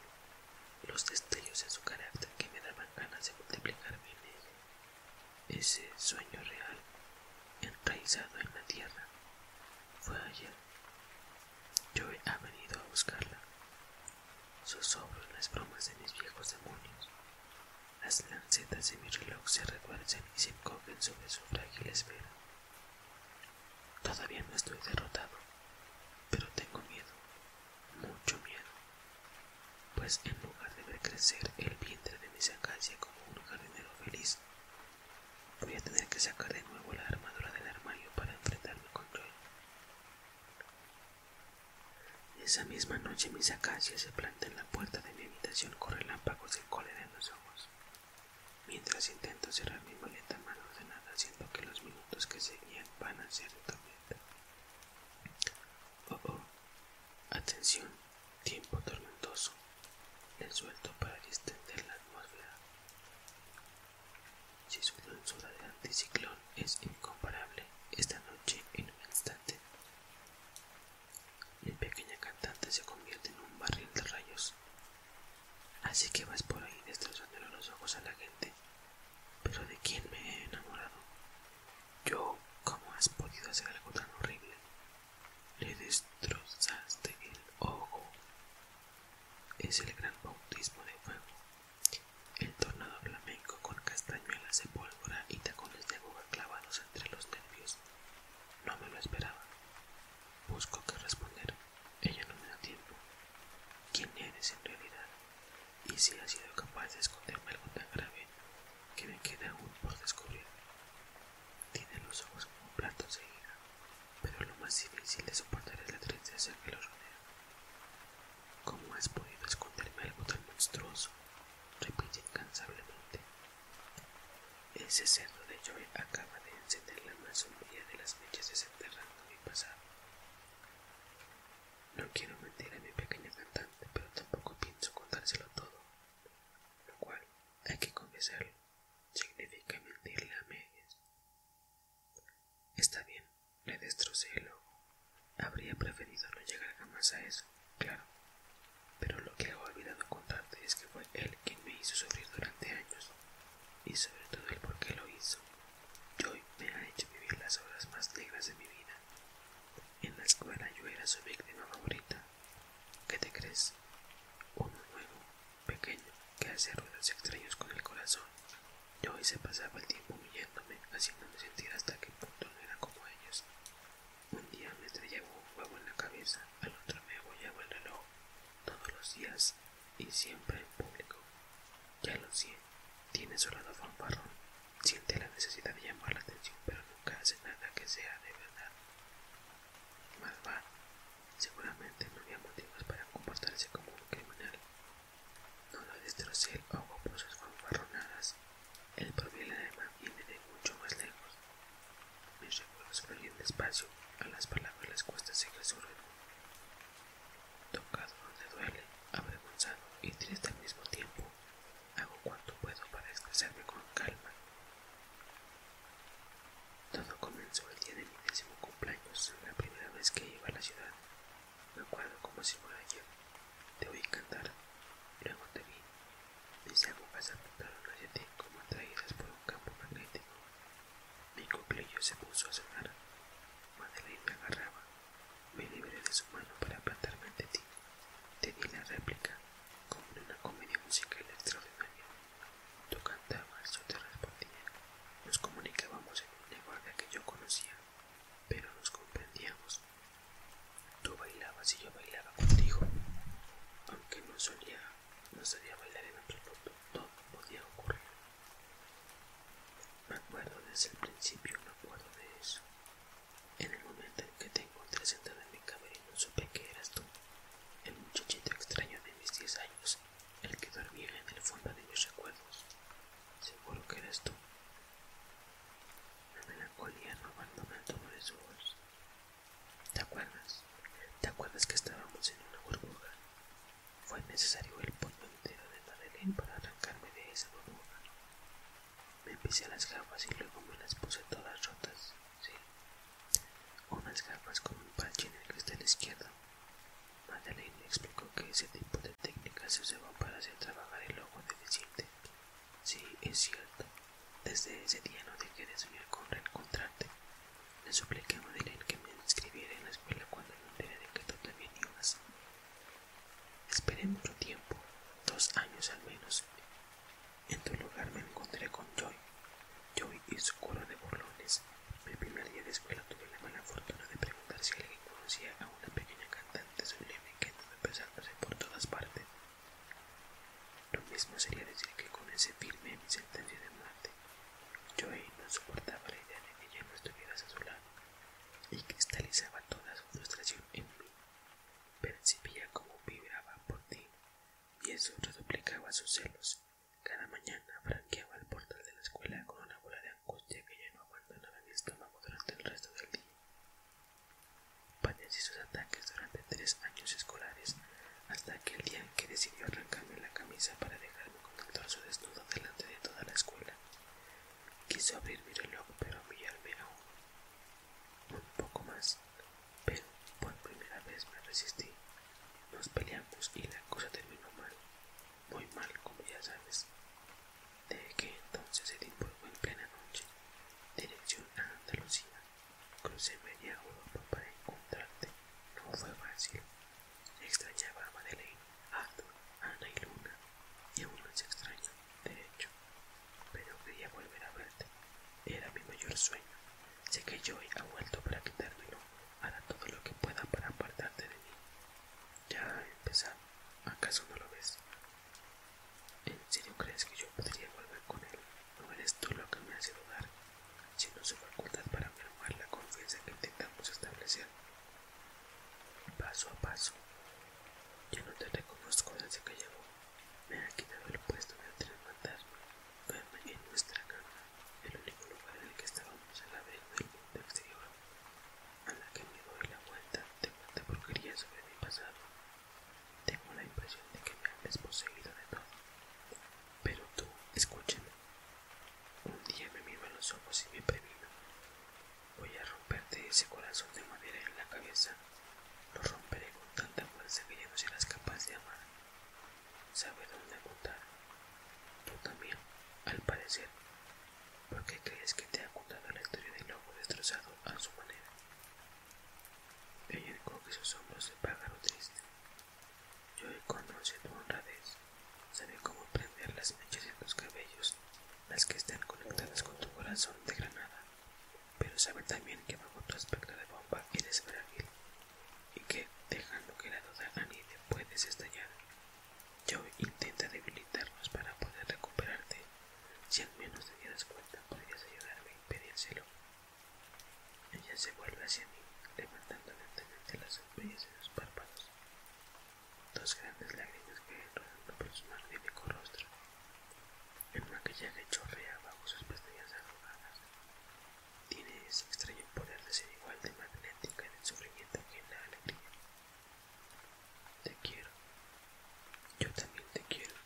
los destellos de su carácter que me daban ganas de multiplicarme en ella. Ese sueño real, enraizado en la tierra, fue ayer. Yo ha venido a buscarla. Sus hombros, las bromas de mis viejos demonios. Las lancetas de mi reloj se retuercen y se encogen sobre su frágil esfera. Todavía no estoy derrotado, pero tengo miedo, mucho miedo. Pues en lugar de ver crecer el vientre de mis acacia como un jardinero feliz, voy a tener que sacar de nuevo la armadura del armario para enfrentarme con él. Esa misma noche mis acacias se planta en la puerta de mi habitación con relámpagos y cólera en los ojos, mientras intento cerrar mi maleta mal ordenada, siento que los minutos que seguían van a ser de tormenta. Oh, oh, atención tiempo tormentoso, el suelto para distender la atmósfera. Si su de de anticiclón es incomparable, esta noche en un instante, mi pequeña cantante se convierte en un barril de rayos. Así que vas por ahí destrozándole los ojos a la gente. Pero de quién me he enamorado? Yo, ¿cómo has podido hacer algo tan horrible? Le destrozaste el ojo. Es el gran bautismo de fuego. El tornado flamenco con castañuelas de pólvora y tacones de boca clavados entre los nervios. No me lo esperaba. Busco que responder. Ella no me da tiempo. ¿Quién eres en realidad? Y si has sido capaz de esconderme algo tan grave, que me queda aún por descubrir. Tiene los ojos como platos de ira, pero lo más difícil de soportar es la tristeza que lo rodea. ¿Cómo has podido esconderme algo tan monstruoso? repite incansablemente. Ese cerdo de Joy acaba de encender la más de las mechas desenterrando mi pasado. No quiero mentir a mi pequeña cantante, pero tampoco pienso contárselo todo, lo cual, hay que confesarlo, significa mentirle a medias. Está bien, le destrocé el ojo. Habría preferido no llegar jamás a eso, claro. Pero lo que he olvidado contarte es que fue él quien me hizo sufrir durante años, y sobre todo el por qué lo hizo. Joy me ha hecho vivir las horas más negras de mi vida. En la escuela yo era su víctima favorita, ¿Qué te crees? Uno nuevo, pequeño, que hace ruidos extraños con el corazón. Yo hoy se pasaba el tiempo humillándome, haciéndome sentir hasta qué punto no era como ellos. Un día me trayaba un huevo en la cabeza, al otro me en el reloj, todos los días y siempre en público. Ya lo sé, tiene su lado fanfarrón, Siente la necesidad de llamar la atención, pero nunca hace nada que sea de verdad. Malvado, seguramente no había motivos para comportarse como un criminal. No lo destrocé el ojo por sus fanfarronadas. El problema viene de mucho más lejos. Mis recuerdos fluyen despacio a las palabras les cuesta seguir su ritmo. Tocado donde duele, avergonzado y triste al mismo tiempo, hago cuanto puedo para expresarme con calma. Todo comenzó el día de mi décimo cumpleaños, la primera vez que iba a la ciudad. Me acuerdo como si fuera ayer. Te oí cantar, luego te vi. que se apuntaron hacia ti como atraídas por un campo magnético. Mi cumpleaños se puso a sonar. Madeleine me agarraba. Me libré de su mano para plantarme ante ti. Te di la réplica como una comedia musical extraordinaria. Tú cantabas, yo te respondía. Nos comunicábamos en un lenguaje que yo conocía, pero nos comprendíamos. Tú bailabas y yo bailaba contigo. Aunque no solía, no sabía bailar en otro absoluto, todo podía ocurrir. Me acuerdo desde el principio, me acuerdo de eso. En el momento en que tengo encontré sentada en mi no supe que eras tú, el muchachito extraño de mis diez años, el que dormía en el fondo de mis recuerdos. Seguro que eras tú. La melancolía no abandona el tono de ¿Te acuerdas? ¿Te acuerdas que estábamos en una burbuja? Fue necesario el polvo entero de Madeleine para arrancarme de esa burbuja. Me pisé las gafas y luego me las puse todas rotas. Sí. Unas gafas con un parche en el cristal izquierdo. Madeleine explicó que ese tipo de técnicas se usaba para hacer trabajar el ojo deficiente. Sí, es cierto. Desde ese día no dejé de soñar con reencontrarte. Le supliqué a Madeleine que me inscribiera en la escuela cuando no enteré de que tú también ibas. —Esperemos mucho tiempo, dos años al menos. En tu lugar me encontré con Joy. Joy y su coro de burlones. Mi primer día de escuela tuve la mala fortuna de preguntar si alguien conocía a una pequeña cantante sublime que andaba pesándose por todas partes. Lo mismo sería decir que con ese firme mi sentencia de muerte. Joy no soportaba la idea de que ella no estuvieras a su lado y cristalizaba toda su frustración en mí. Percibía cómo vibraba por ti y eso reduplicaba sus celos. Cada mañana franqueaba el portal de la escuela con una bola de angustia que ya no abandonaba mi estómago durante el resto del día. Padecí sus ataques durante tres años escolares, hasta aquel día en que decidió arrancarme la camisa para dejarme con el torso desnudo delante de toda la escuela. Quiso abrir mi reloj, pero mi aún un poco más, pero por primera vez me resistí. Nos peleamos y la cosa terminó mal, muy mal, como ya sabes. Desde que entonces se divorció en plena noche, dirección a Andalucía. Crucé media Europa para encontrarte. No fue fácil. Extrañaba a Madeleine, a Ana y Luna, y aún más extraño, de hecho, pero quería volver a verte. Era mi mayor sueño. Sé que Joy ha vuelto para quitármelo. Hará todo lo que pueda para apartarte de mí. Ya empezado. ¿Acaso no lo ves? ¿En serio crees que yo podría volver con él? No eres tú lo que me hace dudar, sino su facultad para firmar la confianza que intentamos establecer. Paso a paso. Yo no te reconozco desde que llegó. Me ha quitado el puesto de antes Verme en nuestra cama, el único lugar en el que estábamos la la del mundo exterior, a la que me doy la vuelta de tanta porquería sobre mi pasado. Tengo la impresión de que me han desposeído de todo. Pero tú, escúchame. Un día me miran los ojos y me previno. Voy a romperte ese corazón de madera en la cabeza lo romperé con tanta fuerza que ya no serás capaz de amar. Sabe dónde contar Tú también, al parecer. porque qué crees que te ha contado la historia del lobo destrozado a su manera? Ella que sus hombros pagan lo triste. Yo conoce tu honradez. Sabe cómo prender las mechas en tus cabellos, las que están conectadas con tu corazón de granada pero saber también que bajo otro aspecto de bomba eres frágil y que, dejando que la duda te puedes estallar. Yo intenta debilitarlos para poder recuperarte. Si al menos te dieras cuenta, podrías ayudarme a impedírselo. Ella se vuelve hacia mí, levantando lentamente las sombrillas de los párpados. Dos grandes lágrimas que rodando por su mi rostro. El maquillaje chorrea bajo sus pastillas arrugadas. Tiene ese extraño poder de ser igual de magnética en el sufrimiento que en la alegría. Te quiero. Yo también te quiero.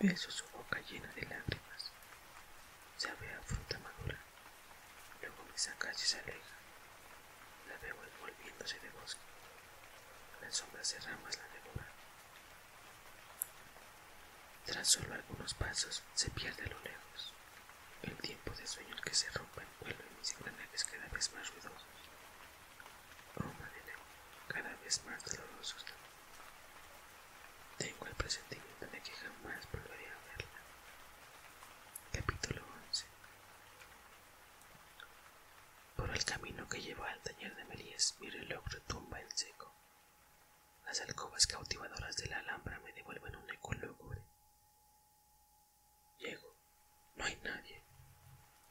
Beso su boca llena de lágrimas. Se a fruta madura. Luego me saca y se aleja. La veo envolviéndose de bosque. Las sombras de ramas la devoran. Tras solo algunos pasos, se pierde a lo lejos. El tiempo de sueño que se rompe el mis engranajes cada vez más ruidosos. cada vez más dolorosos Tengo el presentimiento de que jamás volveré a verla. Capítulo 11 Por el camino que lleva al taller de Melies mi reloj tumba en seco. Las alcobas cautivadoras de la alhambra me devuelven un eco lúgubre. Llego. No hay nadie.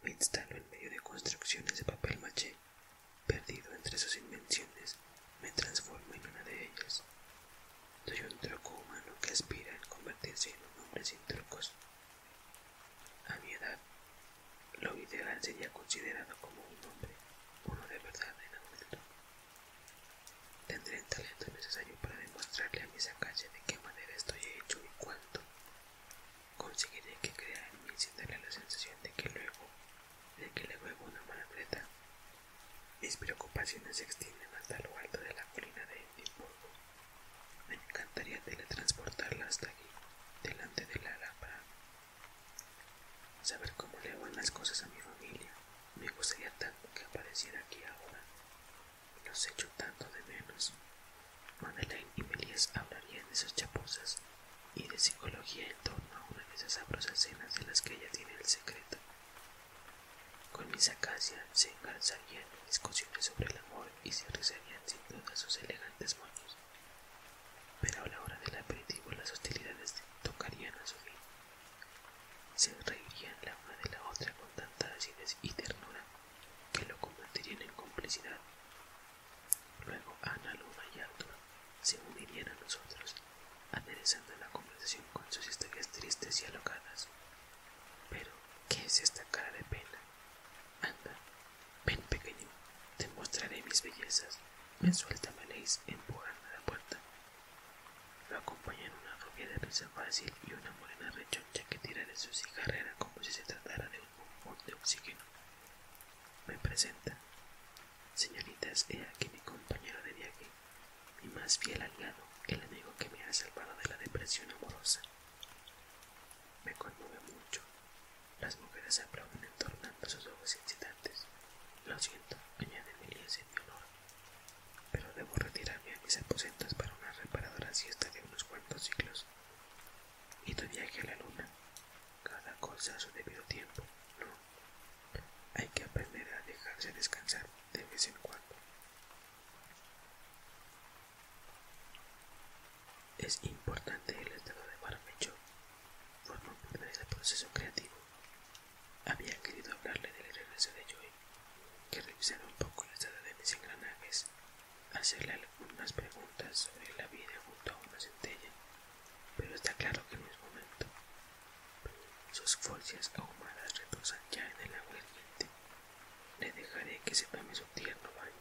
Me instalo en medio de construcciones de papel maché. Perdido entre sus invenciones, me transformo en una de ellas. Soy un truco humano que aspira a convertirse en un hombre sin trucos. A mi edad, lo ideal sería considerado como un hombre, uno de verdad en adulto. Tendré el talento necesario para demostrarle a mis calle de qué manera estoy hecho y cuánto. Conseguiré que crea en mí sin darle la sensación de que luego, de que le huevo una malagreta. Mis preocupaciones se extienden hasta lo alto de la colina de Edimburgo. Me encantaría teletransportarla hasta aquí, delante de la lámpara Saber cómo le van las cosas a mi familia. Me gustaría tanto que apareciera aquí ahora. Los echo tanto de menos. Madeleine y Melies hablarían de sus chapuzas y de psicología en torno a una de esas sabrosas escenas de las que ella tiene el secreto. Con mis acacias se engarzarían en discusiones sobre el amor y se rezarían sin duda sus elegantes moños. Pero a la hora del aperitivo las hostilidades tocarían a su fin. Se reirían la una de la otra con tanta acidez y ternura que lo convertirían en complicidad. Luego Ana, Luna y Arthur se unirían a nosotros, aderezando la conversación con sus historias tristes y alocadas. Pero, ¿qué es esta cara de pena? Anda, Ven, pequeño, te mostraré mis bellezas. me suelta me Leis, a la puerta. Lo acompañan una rubia de risa fácil y una morena rechoncha que tira de su cigarrera como si se tratara de un bombón de oxígeno. Me presenta. Señoritas, he aquí mi compañero de viaje, mi más fiel aliado, el amigo que me ha salvado de la depresión amorosa. Me conmueve mucho, las mujeres se aplauden entornando sus ojos incitantes. Lo siento, añade Emilia sin mi honor, pero debo retirarme a mis aposentos para una reparadora siesta de unos cuantos siglos. Y tu viaje a la luna, cada cosa a su debido tiempo, ¿no? Hay que aprender a dejarse descansar de vez en cuando. Es importante el estado de barbecho Formó parte del proceso creativo. Había querido hablarle del regreso de Joy, que revisara un poco la estado de mis engranajes, hacerle algunas preguntas sobre la vida junto a una centella, pero está claro que en es momento. Sus fuerzas ahumadas reposan ya en el agua hirviente. Le dejaré que se tome su tierno baño.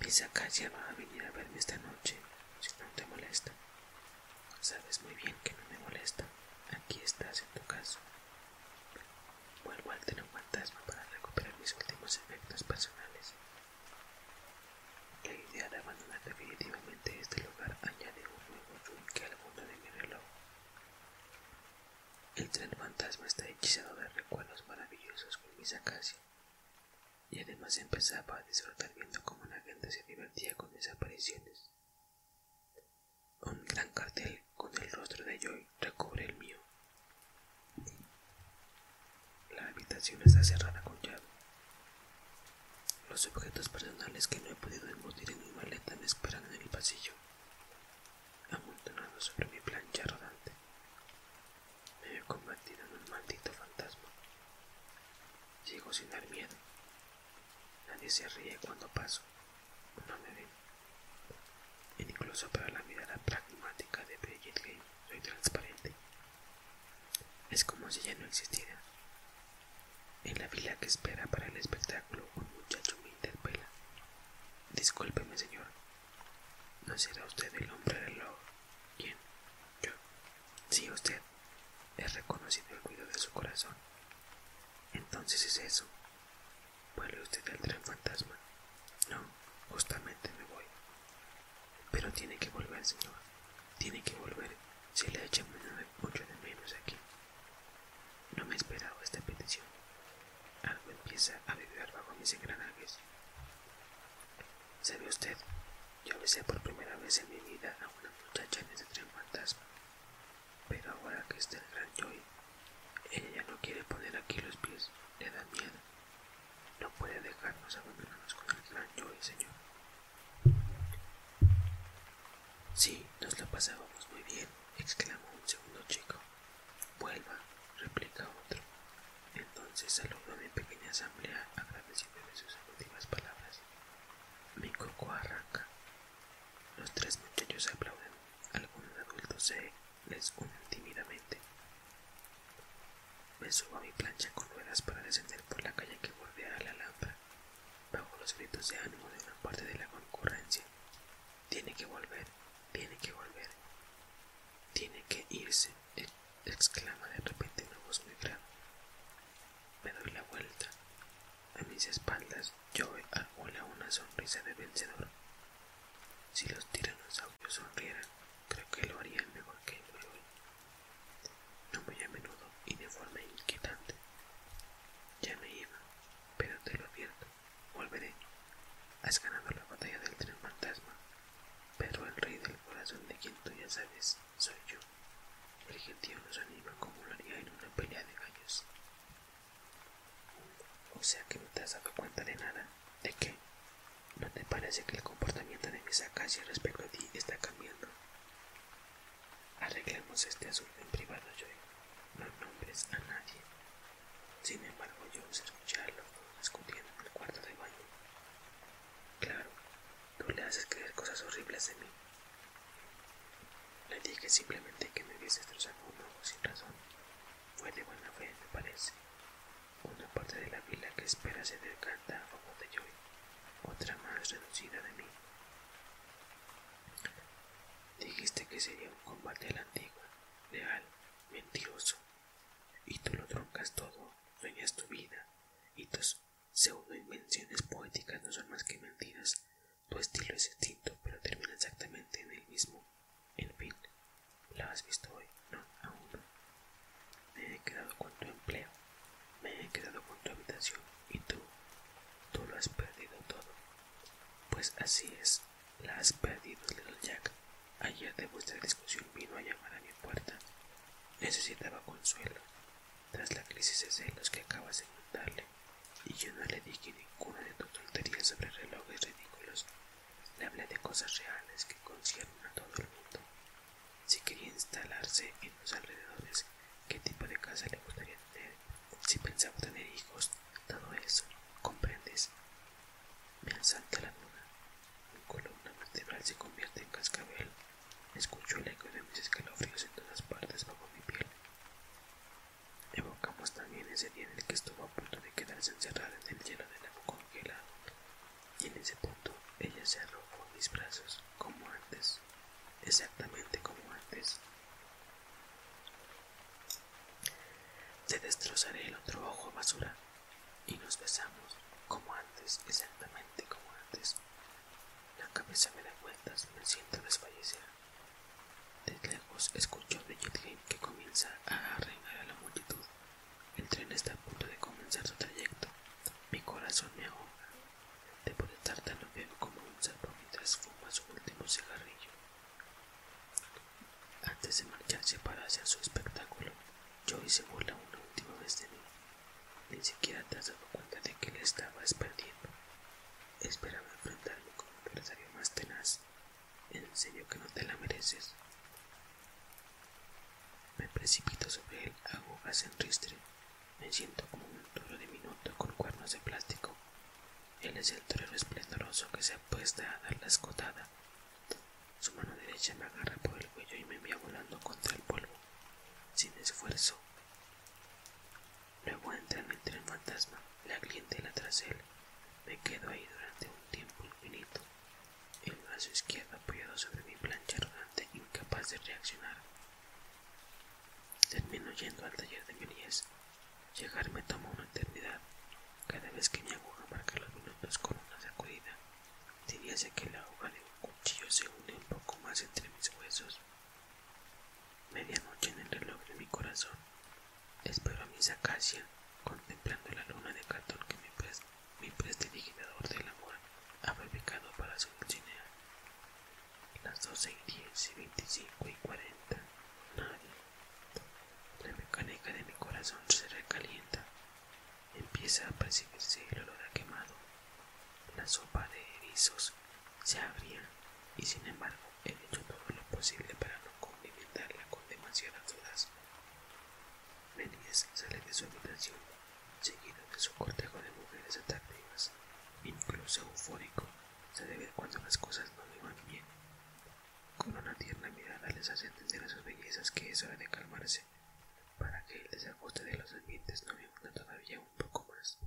Misakasia va a venir a verme esta noche, si no te molesta. Sabes muy bien que no me molesta. Aquí estás en tu caso. Vuelvo al tren fantasma para recuperar mis últimos efectos personales. La idea de abandonar definitivamente este lugar añade un nuevo yunque al mundo de mi reloj. El tren fantasma está hechizado de recuerdos maravillosos con mis y además empezaba a disfrutar viendo cómo la gente se divertía con desapariciones Un gran cartel con el rostro de Joy recubre el mío. La habitación está cerrada con llave. Los objetos personales que no he podido embutir en mi maleta me esperan en el pasillo, amontonados sobre mi plancha rodante me he convertido en un maldito fantasma. Llego sin dar miedo. Nadie se ríe cuando paso. No me ven. E incluso para la mirada pragmática de Bridget soy transparente. Es como si ya no existiera. En la fila que espera para el espectáculo, un muchacho me interpela. Discúlpeme, señor. ¿No será usted el hombre del lobo? ¿Quién? Yo. Sí, usted. es reconocido el cuidado de su corazón. Entonces es eso. ¿Vuelve usted al tren fantasma? No, justamente me voy. Pero tiene que volver, señor. Tiene que volver. Se le echa mucho de menos aquí. No me he esperado esta petición. Algo empieza a vibrar bajo mis engranajes. ¿Sabe usted? Yo besé por primera vez en mi vida a una muchacha en ese tren fantasma. Pero ahora que está el gran Joy, ella no quiere poner aquí los pies, le da miedo. No puede dejarnos abandonarnos con el gran Joy, señor. Sí, nos lo pasábamos muy bien, exclamó un segundo chico. Vuelva, replica otro. Entonces saludo a mi pequeña asamblea agradeciéndome sus últimas palabras. Mi coco arranca. Los tres muchachos aplauden. Algunos adultos se les unen tímidamente. Me subo a mi plancha con ruedas para descender por la calle que a la lámpara. Bajo los gritos de ánimo de una parte de la concurrencia. Tiene que volver, tiene que volver, tiene que irse, exclama de repente una voz muy grave. Me doy la vuelta. A mis espaldas Joe la una sonrisa de vencedor. Si los tiranosaurios sonrieran, creo que lo harían mejor que yo. No muy a menudo y de forma inquietante. Ya me iba, pero te lo advierto, volveré. Has ganado la batalla del tren fantasma, pero el rey del corazón de quien tú ya sabes soy yo. El no nos anima como lo haría en una pelea de gallos. O sea que no te has dado cuenta de nada. ¿De qué? ¿No te parece que el comportamiento de mis acacias respecto a ti está cambiando? Arreglemos este asunto en privado, Joey. No nombres a nadie. Sin embargo, yo os escucharlo a en el cuarto de baño. Claro, Tú le haces creer cosas horribles de mí. Le dije simplemente que me hubiese destrozado un ojo sin razón. Fue de buena fe, me parece. Una parte de la villa que espera se decanta a favor de Joy, otra más reducida de mí. Dijiste que sería un combate a la antigua, leal, mentiroso. Y tú lo troncas todo, sueñas tu vida, y tus Segundo, invenciones poéticas no son más que mentiras. Tu estilo es distinto, pero termina exactamente en el mismo. En fin, ¿la has visto hoy? No, aún Me he quedado con tu empleo, me he quedado con tu habitación y tú, tú lo has perdido todo. Pues así es, la has perdido, Little Jack. Ayer de vuestra discusión vino a llamar a mi puerta Necesitaba consuelo tras la crisis de celos que acabas de contarle, y yo no le dije ninguna de tus tonterías sobre relojes ridículos. Le hablé de cosas reales que conciernen a todo el mundo. Si quería instalarse en los alrededores, qué tipo de casa le gustaría tener, si pensaba tener hijos, todo eso, ¿comprendes? Me asalta la duda mi columna vertebral se convierte en cascabel. Escucho el eco de mis escalofríos en todas partes bajo mi piel. Evocamos también ese día en el que estuvo a punto de quedarse encerrada en el hielo del boca congelada, y en ese punto ella se arrojó mis brazos como antes, exactamente como antes. Te destrozaré el otro ojo, basura, y nos besamos como antes, exactamente como antes. La cabeza me da vueltas, me siento desfallecer. De lejos escucho a Bridget que comienza a arreglar a la multitud. El tren está a punto de comenzar su trayecto. Mi corazón me ahoga. Debo de estar tan viejo como un sapo mientras fuma su último cigarrillo. Antes de marcharse para hacer su espectáculo, yo hice burla una última vez de mí. Ni siquiera te has dado cuenta de que le estabas perdiendo. Esperaba enfrentarme con un adversario más tenaz. En que no te la mereces. Me precipito sobre él, agua en ristre. Me siento como un toro diminuto con cuernos de plástico. Él es el torero esplendoroso que se apuesta a dar la escotada. Su mano derecha me agarra por el cuello y me envía volando contra el polvo sin esfuerzo. Luego entran entre el fantasma, la clientela tras él. Me quedo ahí durante un tiempo infinito, el brazo izquierdo apoyado sobre mi plancha arrogante, incapaz de reaccionar. Termino yendo al taller de mi Llegar me toma una eternidad. Cada vez que mi aguja marca los minutos con una sacudida, diríase que la hoja de un cuchillo se une un poco más entre mis huesos. Medianoche en el reloj de mi corazón, espero a mis acacia, contemplando la luna de cartón que mi, prestidigitador del amor ha fabricado para su dulcinea. Las doce y diez y veinticinco y cuarenta, La mecánica de mi corazón se recalienta empieza a percibirse el olor a quemado. La sopa de erizos se abría y sin embargo he hecho todo lo posible para no condimentarla con demasiadas dudas. Méndez sale de su habitación, seguido de su cortejo de mujeres atractivas. Incluso eufórico, se debe cuando las cosas no le van bien. Con una tierna mirada les hace entender a sus bellezas que es hora de calmarse para que el desagosto de los ambientes no me todavía un poco más.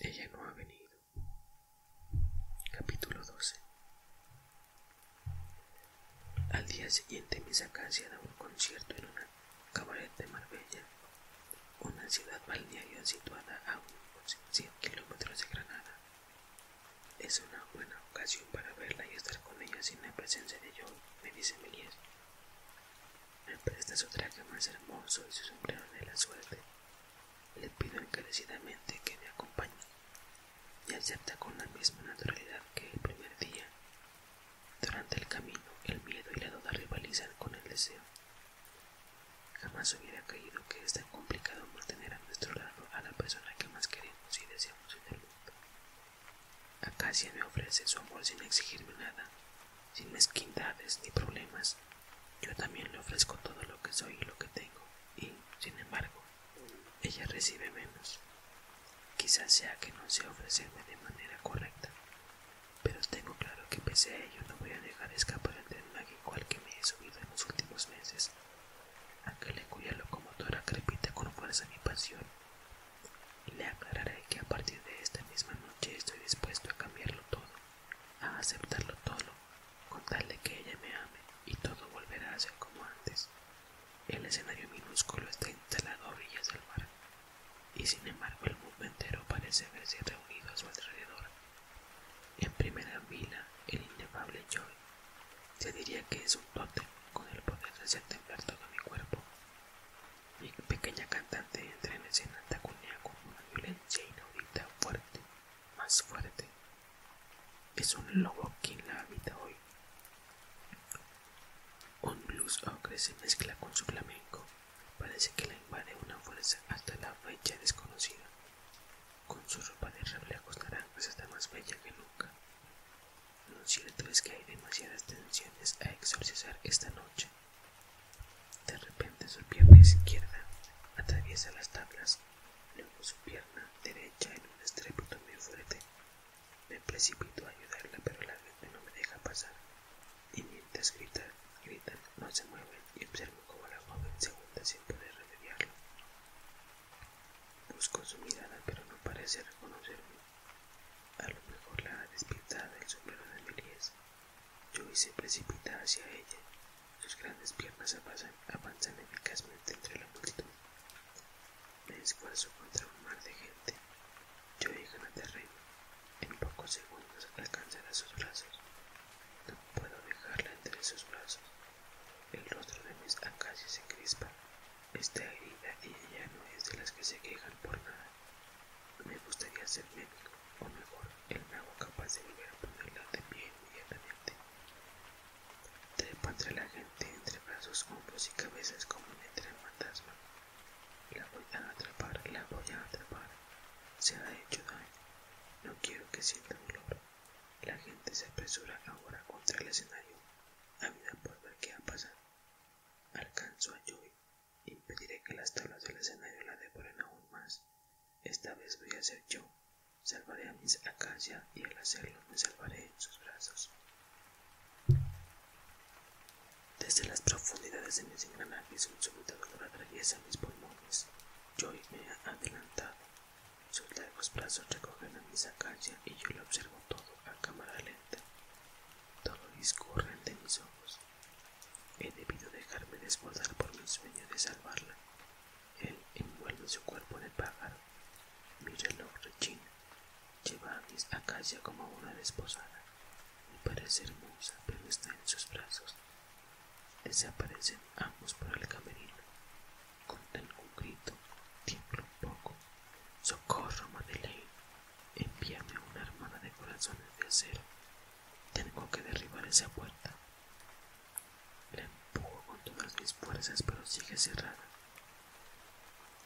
Ella no ha venido. Capítulo 12 Al día siguiente mi sacancia da un concierto en una cabaret de Marbella, una ciudad balnearia situada a unos 100 kilómetros de Granada. Es una buena ocasión para verla y estar con ella sin la presencia de yo me dice Melies me presta su traje más hermoso y su sombrero de la suerte, le pido encarecidamente que me acompañe, y acepta con la misma naturalidad que el primer día. Durante el camino, el miedo y la duda rivalizan con el deseo. Jamás hubiera creído que es tan complicado mantener a nuestro lado a la persona que más queremos y deseamos en el mundo. Acacia me ofrece su amor sin exigirme nada, sin mezquindades ni problemas. Yo también le ofrezco todo lo que soy y lo que tengo, y, sin embargo, ella recibe menos. Quizás sea que no sea ofrecerme de manera correcta, pero tengo claro que pese a ello no voy a dejar escapar el tren mágico que me he subido en los últimos meses, aquel en cuya locomotora crepita con fuerza mi pasión le aclararé que a partir de esta misma noche estoy dispuesto a cambiarlo todo, a aceptarlo todo, con que ella me ame y todo volverá a ser como antes. El escenario minúsculo está instalado a orillas del mar, y sin embargo el mundo entero parece verse reunido a su alrededor. En primera fila, el inefable Joy. Se diría que es un tótem con el poder de hacer todo mi cuerpo. Mi pequeña cantante entra en escena taconea con una violencia inaudita, fuerte, más fuerte. Es un lobo quien la habita hoy. Un blues ocre se mezcla con su flamenco, parece que la invade una fuerza hasta la fecha desconocida. Con su ropa de reflejos naranjas está más bella que nunca. Lo cierto es que hay demasiadas tensiones a exorcizar esta noche. De repente su pierna izquierda atraviesa las tablas, luego su pierna derecha en un estrépito muy fuerte. Me precipito a ayudarla, pero la vez no me deja pasar. Y mientras gritan, no se mueven y observo cómo la joven se hunde sin poder remediarlo. Busco su mirada, pero no parece reconocerme. A lo mejor la despierta el sombrero de Melies. Yo se precipita hacia ella. Sus grandes piernas avanzan, eficazmente entre la multitud. Me esfuerzo contra un mar de gente. Joey gana terreno. En pocos segundos alcanzará sus brazos. No puedo dejarla entre sus brazos. El rostro de mis Akashi se crispa. Está herida y ella no es de las que se quejan por nada. Me gustaría ser médico, o mejor, el mago capaz de volver a ponerla de pie inmediatamente. Trepa entre la gente, entre brazos, hombros y cabezas como entre el fantasma. La voy a atrapar, la voy a atrapar. Se ha hecho daño. No quiero que sienta dolor. La gente se apresura ahora contra el escenario, vida por ver qué ha pasado. Alcanzo a Joy Impediré que las tablas del escenario la devoren aún más. Esta vez voy a ser yo. Salvaré a mis acacia y al hacerlo me salvaré en sus brazos. Desde las profundidades de mis engranajes un súbito dolor atraviesa mis pulmones. Yo me ha adelantado. Sus largos brazos recogen a mis acacia y yo lo observo todo a cámara lenta. Todo discurre ante mis ojos. He debido dejarme desposar por mi sueño de salvarla. Él envuelve su cuerpo en el pájaro. Mi reloj rechina. Lleva a mis acacia como una desposada. Me parece hermosa, pero está en sus brazos. Desaparecen ambos por el camerino. Con algún grito, Tiempo un poco. ¡Socorro, Madeleine! Envíame una hermana de corazones de acero. Tengo que derribar esa puerta. La empujo con todas mis fuerzas, pero sigue cerrada.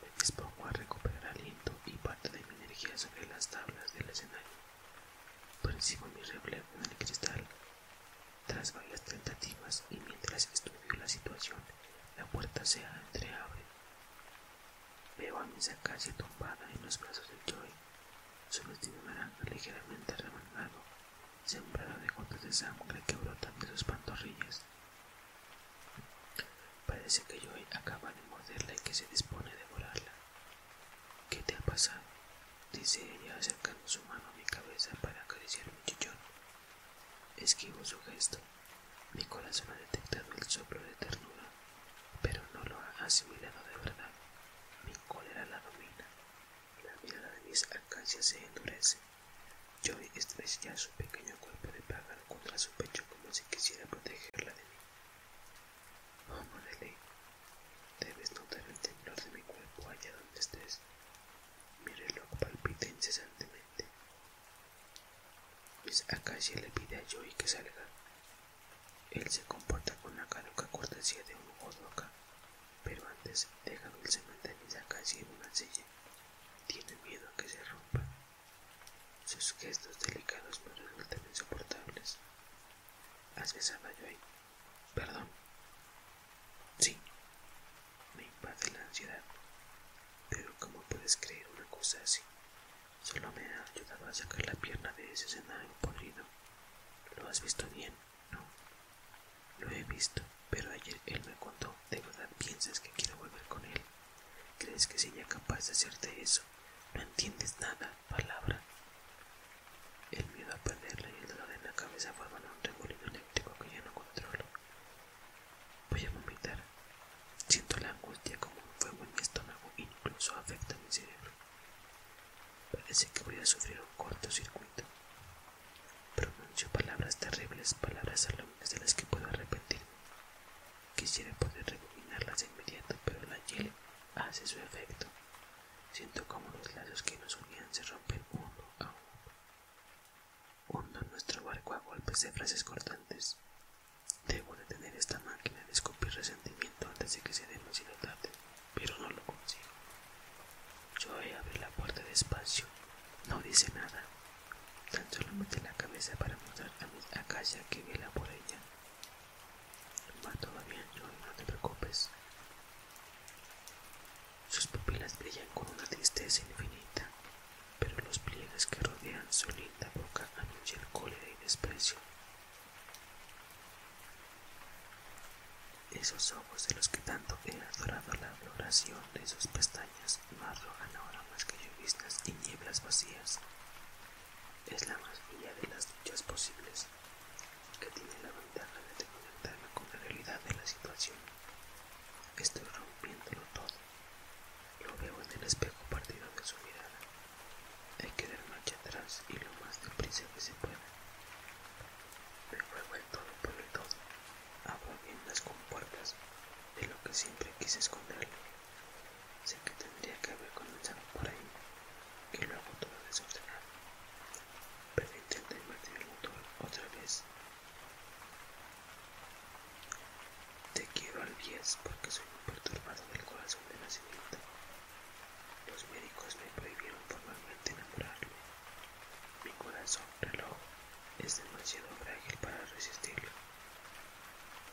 Me dispongo a recuperar aliento y parte de mi energía sobre las tablas del escenario. Percibo mi reflejo en el cristal. Tras varias tentativas y mientras estudio la situación, la puerta se entreabre. Veo a mi casi tumbada en los brazos de Joy. Su vestido naranja ligeramente remangado, sembrado de gotas de sangre que brotan de sus pantorrillas. Parece que Joy acaba de morderla y que se dispone a devorarla. ¿Qué te ha pasado? dice ella acercando su mano a mi cabeza para acariciar mi chichón. Esquivo su gesto. Mi corazón ha detectado el soplo de ternura pero no lo ha asimilado de verdad. Mi cólera la domina, la mirada de mis alcancias se endurece. joey estrella su pequeño cuerpo de pájaro contra su pecho como si quisiera protegerla de mí. Oh, debes notar el temblor de mi cuerpo allá donde estés. Mi reloj palpita incesantemente. Miss Acacia le pide a joey que salga, él se comporta con la caduca cortesía de un loca, pero antes deja dulcemente a misa casi en una silla. Tiene miedo a que se rompa. Sus gestos delicados me resultan insoportables. ¿Has besado a Joy? Perdón. Sí. Me invade la ansiedad. Pero ¿cómo puedes creer una cosa así? Solo me ha ayudado a sacar la pierna de ese cenario podrido. ¿Lo has visto bien? No. Lo he visto, pero ayer él me contó. ¿De verdad piensas que quiero volver con él? ¿Crees que sería capaz de hacerte eso? No entiendes nada, palabra. El miedo a perderla y el dolor en la cabeza forma un remolino eléctrico que ya no controlo. Voy a vomitar. Siento la angustia como un fuego en mi estómago, incluso afecta mi cerebro. Parece que voy a sufrir un cortocircuito. Pronuncio palabras terribles, palabras alumnas de las que puedo arrepentirme. Quisiera poder recombinarlas de inmediato, pero la hielo hace su efecto. Siento como los lazos que nos unían se rompen uno a uno. Hundo nuestro barco a golpes de frases cortantes. Debo detener esta máquina de escupir resentimiento antes de que sea demasiado tarde, pero no lo consigo. Yo yo abre la puerta despacio. No dice nada. Tan solo mete la cabeza para mostrar a mi Akasha que vela por ella. Va todavía, bien, Joey, no te preocupes. Sus pupilas brillan con una tristeza infinita, pero los pliegues que rodean su linda boca anuncian cólera y desprecio. Esos ojos de los que tanto he adorado la adoración de sus pestañas no ahora más que lluvias y nieblas vacías. Es la más bella de las luchas posibles, que tiene la ventaja de conectarme con la realidad de la situación. Estoy rompiéndolo todo. Lo veo en el espejo partido de su mirada. Hay que dar marcha atrás y lo más deprisa que se puede. Me juego el todo por el todo. Abro bien las compuertas de lo que siempre quise esconderlo. Sé que tendría que haber comenzado por ahí, que lo hago todo desordenar, Pero intenté invertir el motor otra vez. Te quiero al 10 porque soy un perturbador del corazón de la nacimiento. Los médicos me prohibieron formalmente enamorarme. Mi corazón reloj es demasiado frágil para resistirlo.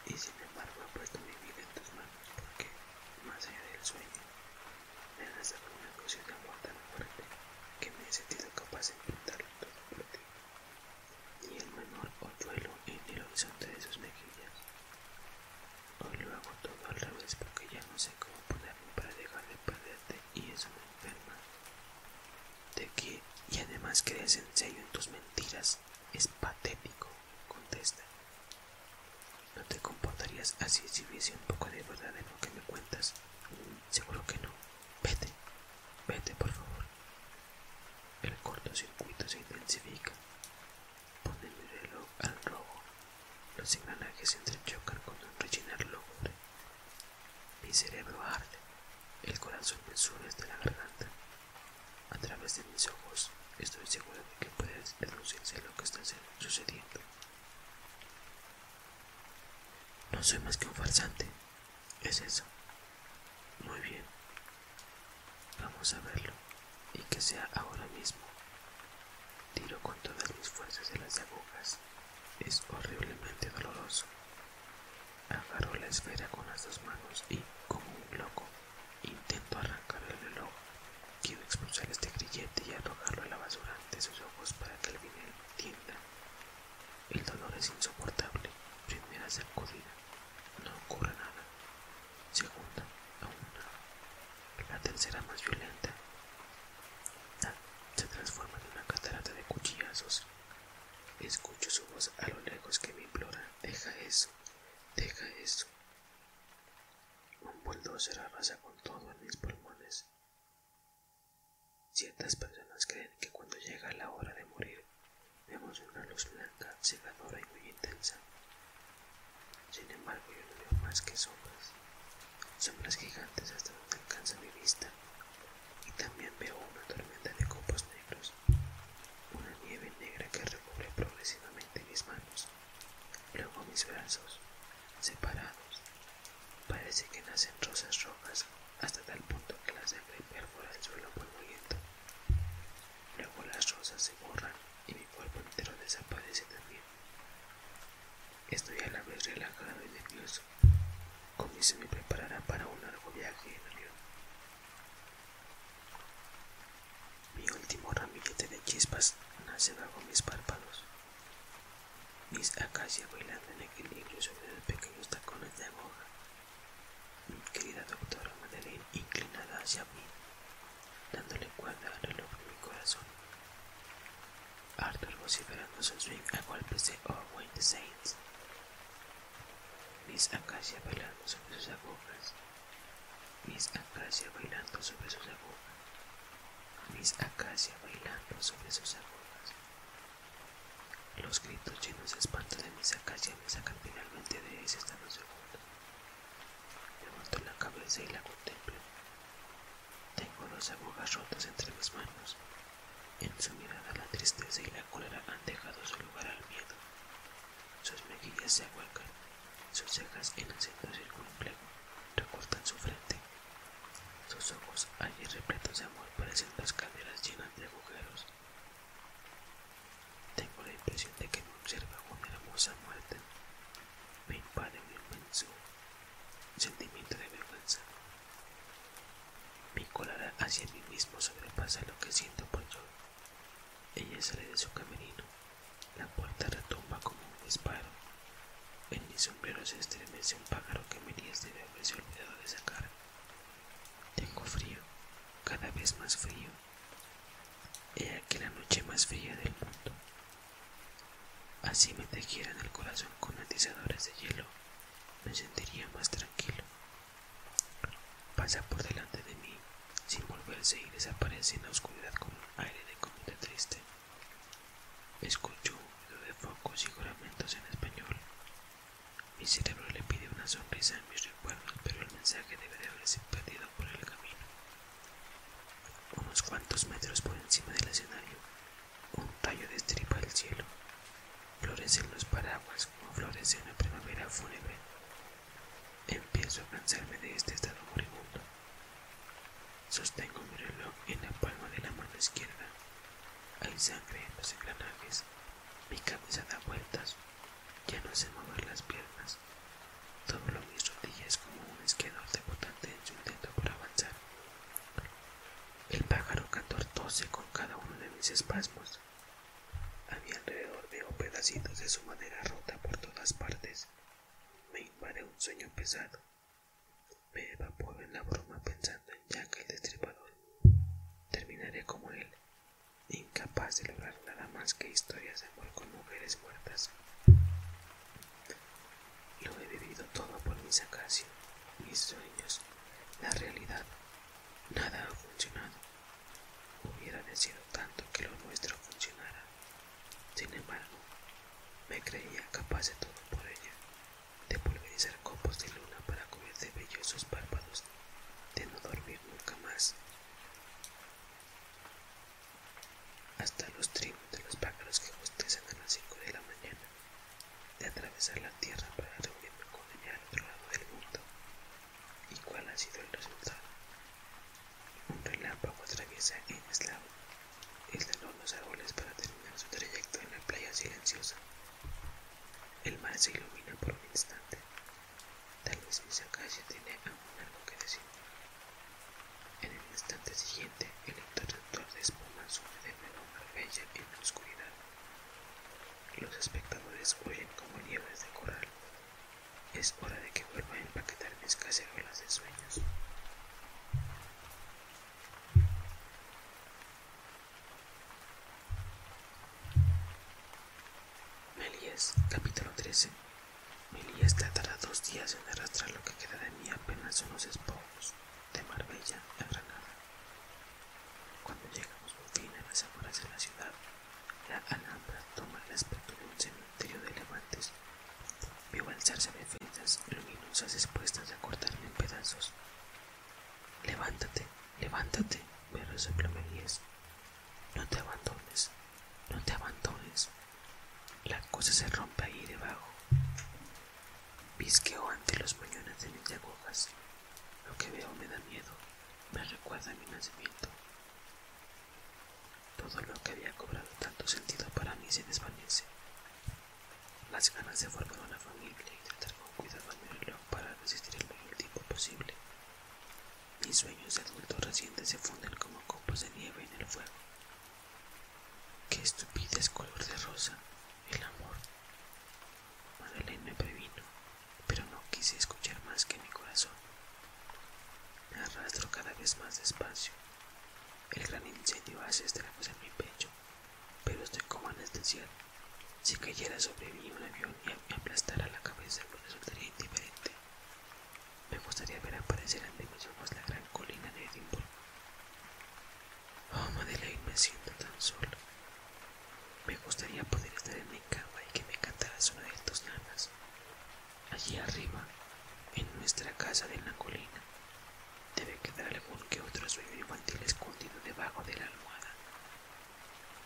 Y sin embargo he puesto mi vida en tus manos porque, más allá del sueño, me esa dado una emoción de amor tan fuerte que me he sentido capaz de pintarlo todo por ti. Ni el menor duelo en el horizonte de sus mejillas, Hoy lo hago todo al revés porque ya no sé cómo ponerme para dejar de perderte y es me enferma. ¿De qué? Y además crees en serio en tus mentiras. Es patético, contesta. ¿No te comportarías así si hubiese un poco de verdad en lo que me cuentas? Seguro que no. Vete, vete por favor. El cortocircuito se intensifica. Pone mi reloj al robo. Los engranajes se entrechocan con un el Mi cerebro arde. El corazón me sube desde la garganta. A través de mis ojos estoy seguro de que puedes deducirse lo que está sucediendo. No soy más que un farsante. Es eso. Muy bien, Vamos a verlo y que sea ahora mismo. Tiro con todas mis fuerzas de las agujas. Es horriblemente doloroso. Agarro la esfera con las dos manos y, como un loco, intento arrancar el reloj. Quiero expulsar este grillete y arrojarlo a la basura ante sus ojos para que el vinil tienda. El dolor es insoportable. Primera sacudida. No ocurre nada segunda a una, la tercera más violenta. se transforma en una catarata de cuchillazos. Escucho su voz a lo lejos que me implora: Deja eso, deja eso. Un bulldozer arrasa con todo en mis pulmones. Ciertas personas creen que cuando llega la hora de morir, vemos una luz blanca y muy intensa. Sin embargo, yo no veo más que sombras, sombras gigantes hasta donde alcanza mi vista, y también veo una tormenta de copos negros, una nieve negra que recubre progresivamente mis manos, luego mis brazos, separados. Parece que nacen rosas rojas hasta tal punto que la sangre perfora el suelo muy Luego las rosas se borran y mi cuerpo entero desaparece también. Estoy a la vez relajado y nervioso, como si me preparara para un largo viaje en avión. Mi último ramillete de chispas nace bajo mis párpados. Mis acacias bailando en equilibrio sobre los pequeños tacones de agua. Mi querida doctora Madeleine inclinada hacia mí dándole cuerda al reloj de mi corazón. Arthur vociferando su swing a golpes de Owen the Saints. Miss Acacia bailando sobre sus agujas. Miss Acacia bailando sobre sus agujas. Miss Acacia bailando sobre sus agujas. Los gritos llenos de espanto de Miss Acacia me sacan finalmente de ese estado seguro. Levanto la cabeza y la contemplo. Tengo dos agujas rotas entre mis manos. En su mirada la tristeza y la cólera han dejado su lugar al miedo. Sus mejillas se ahuecan, sus cejas en centro circunflejo recortan su frente. Sus ojos, allí repletos de amor, parecen las caderas llenas de agujeros. Tengo la impresión de que me observa una hermosa muerte, me invade un sentimiento de vergüenza. Mi colada hacia mí mismo sobrepasa lo que siento por yo. Ella sale de su camerino, la puerta retumba como un disparo. En mi sombrero se estremece un pájaro que me Merías debe haberse olvidado de sacar. Tengo frío, cada vez más frío, he aquí la noche más fría del mundo. Así me tejieran el corazón con atizadores de hielo, me sentiría más tranquilo. Pasa por delante de mí sin volverse y desaparece en la oscuridad con un aire de comida triste. Escucho un ruido de focos y juramentos en español. Mi cerebro le pide una sonrisa en mis recuerdos, pero el mensaje debe de haberse perdido por el camino. Unos cuantos metros por encima del escenario, un tallo destripa el cielo. Florecen los paraguas como florece una primavera fúnebre. Empiezo a cansarme de este estado moribundo. Sostengo mi reloj en la palma de la mano izquierda. Hay sangre en los engranajes. Mi cabeza da vueltas. Ya no sé mover las piernas todo lo mis rodillas como un esquedor debutante en su intento por avanzar. El pájaro tose con cada uno de mis espasmos. A mi alrededor veo pedacitos de su madera rota por todas partes. Me invade un sueño pesado. Me evaporo en la broma pensando en Jack el destripador. Terminaré como él, incapaz de lograr nada más que historias de amor con mujeres muertas. Lo he vivido todo por mis acacias, mis sueños, la realidad. Nada ha funcionado. Hubiera deseado tanto que lo nuestro funcionara. Sin embargo, me creía capaz de todo por ella, de pulverizar copos de luna para comer de sus párpados, de no dormir nunca más hasta los trinos de los pájaros que bostezan a las cinco de la mañana, de atravesar la tierra para reunirme con ella al otro lado del mundo. ¿Y cuál ha sido el resultado? Un relámpago atraviesa en eslavo el de los árboles para terminar su trayecto en la playa silenciosa. El mar se ilumina por un instante. Tal vez esa calle tiene aún algo que decir. En el instante siguiente, el interruptor de espuma sube de nuevo bella en la oscuridad. Los espectadores huyen como nieves de coral. Es hora de que vuelva a empaquetar mis cacerolas de sueños. Melies, capítulo 13 Milías tardará dos días en arrastrar lo que queda de mí apenas unos espojos de Marbella a Granada. Cuando llegamos por fin a las afueras de la ciudad, la Alhambra toma el aspecto de un cementerio de elefantes. Veo alzarse fiestas luminosas expuestas a cortarme en pedazos. Levántate, levántate, me resopla No te abandones, no te abandones. La cosa se rompe ahí debajo. Visqueo ante los puñones de mis agujas. Lo que veo me da miedo, me recuerda mi nacimiento. Todo lo que había cobrado tanto sentido para mí se desvanece. Las ganas de formar una familia y tratar con cuidado a mi reloj para resistir el mayor tiempo posible. Mis sueños de adultos recientes se funden como copos de nieve en el fuego. Qué estúpida es color de rosa, el amor. Madeleine me previno, pero no quise escuchar más que mi corazón. Me arrastro cada vez más despacio. El gran incendio hace estragos en mi pecho, pero estoy como anestesiado. Si cayera sobre mí un avión y me aplastara la cabeza, me resultaría indiferente. Me gustaría ver aparecer ante mis ojos la gran colina de Edimburgo. Oh, Madeleine, me siento tan solo. Me gustaría poder estar en mi cama y que me cantaras una de tus nanas. Allí arriba, en nuestra casa de la colina, debe quedar algún que otro sueño infantil escondido debajo de la almohada.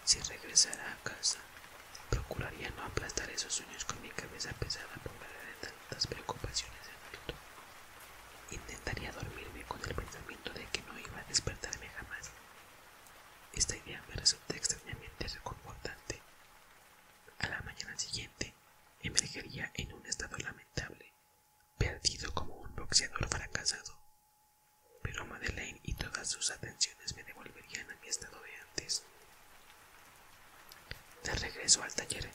Si regresara a casa, procuraría no aplastar esos sueños con mi cabeza pesada por la arena tantas preocupaciones de adulto. Intentaría dormirme con el pensamiento de que no iba a despertarme jamás. Esta idea me resulta extrañamente reconfortante. A la mañana siguiente emergería en un estado lamentable, perdido como un boxeador fracasado. Pero Madeleine y todas sus atenciones me devolverían a mi estado de antes. De regreso al taller,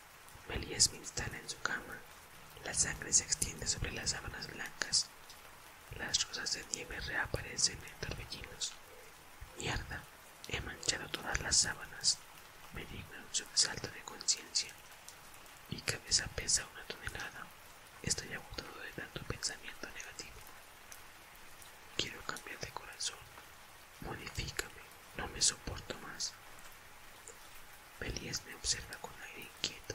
Melies me instala en su cama. La sangre se extiende sobre las sábanas blancas. Las rosas de nieve reaparecen en torbellinos. Mierda, he manchado todas las sábanas. Me digna un sobresalto de conciencia. Mi cabeza pesa una tonelada. Estoy agotado de tanto pensamiento negativo. Quiero cambiar de corazón, Modifícame, no me soporto más. Belías me observa con aire inquieto.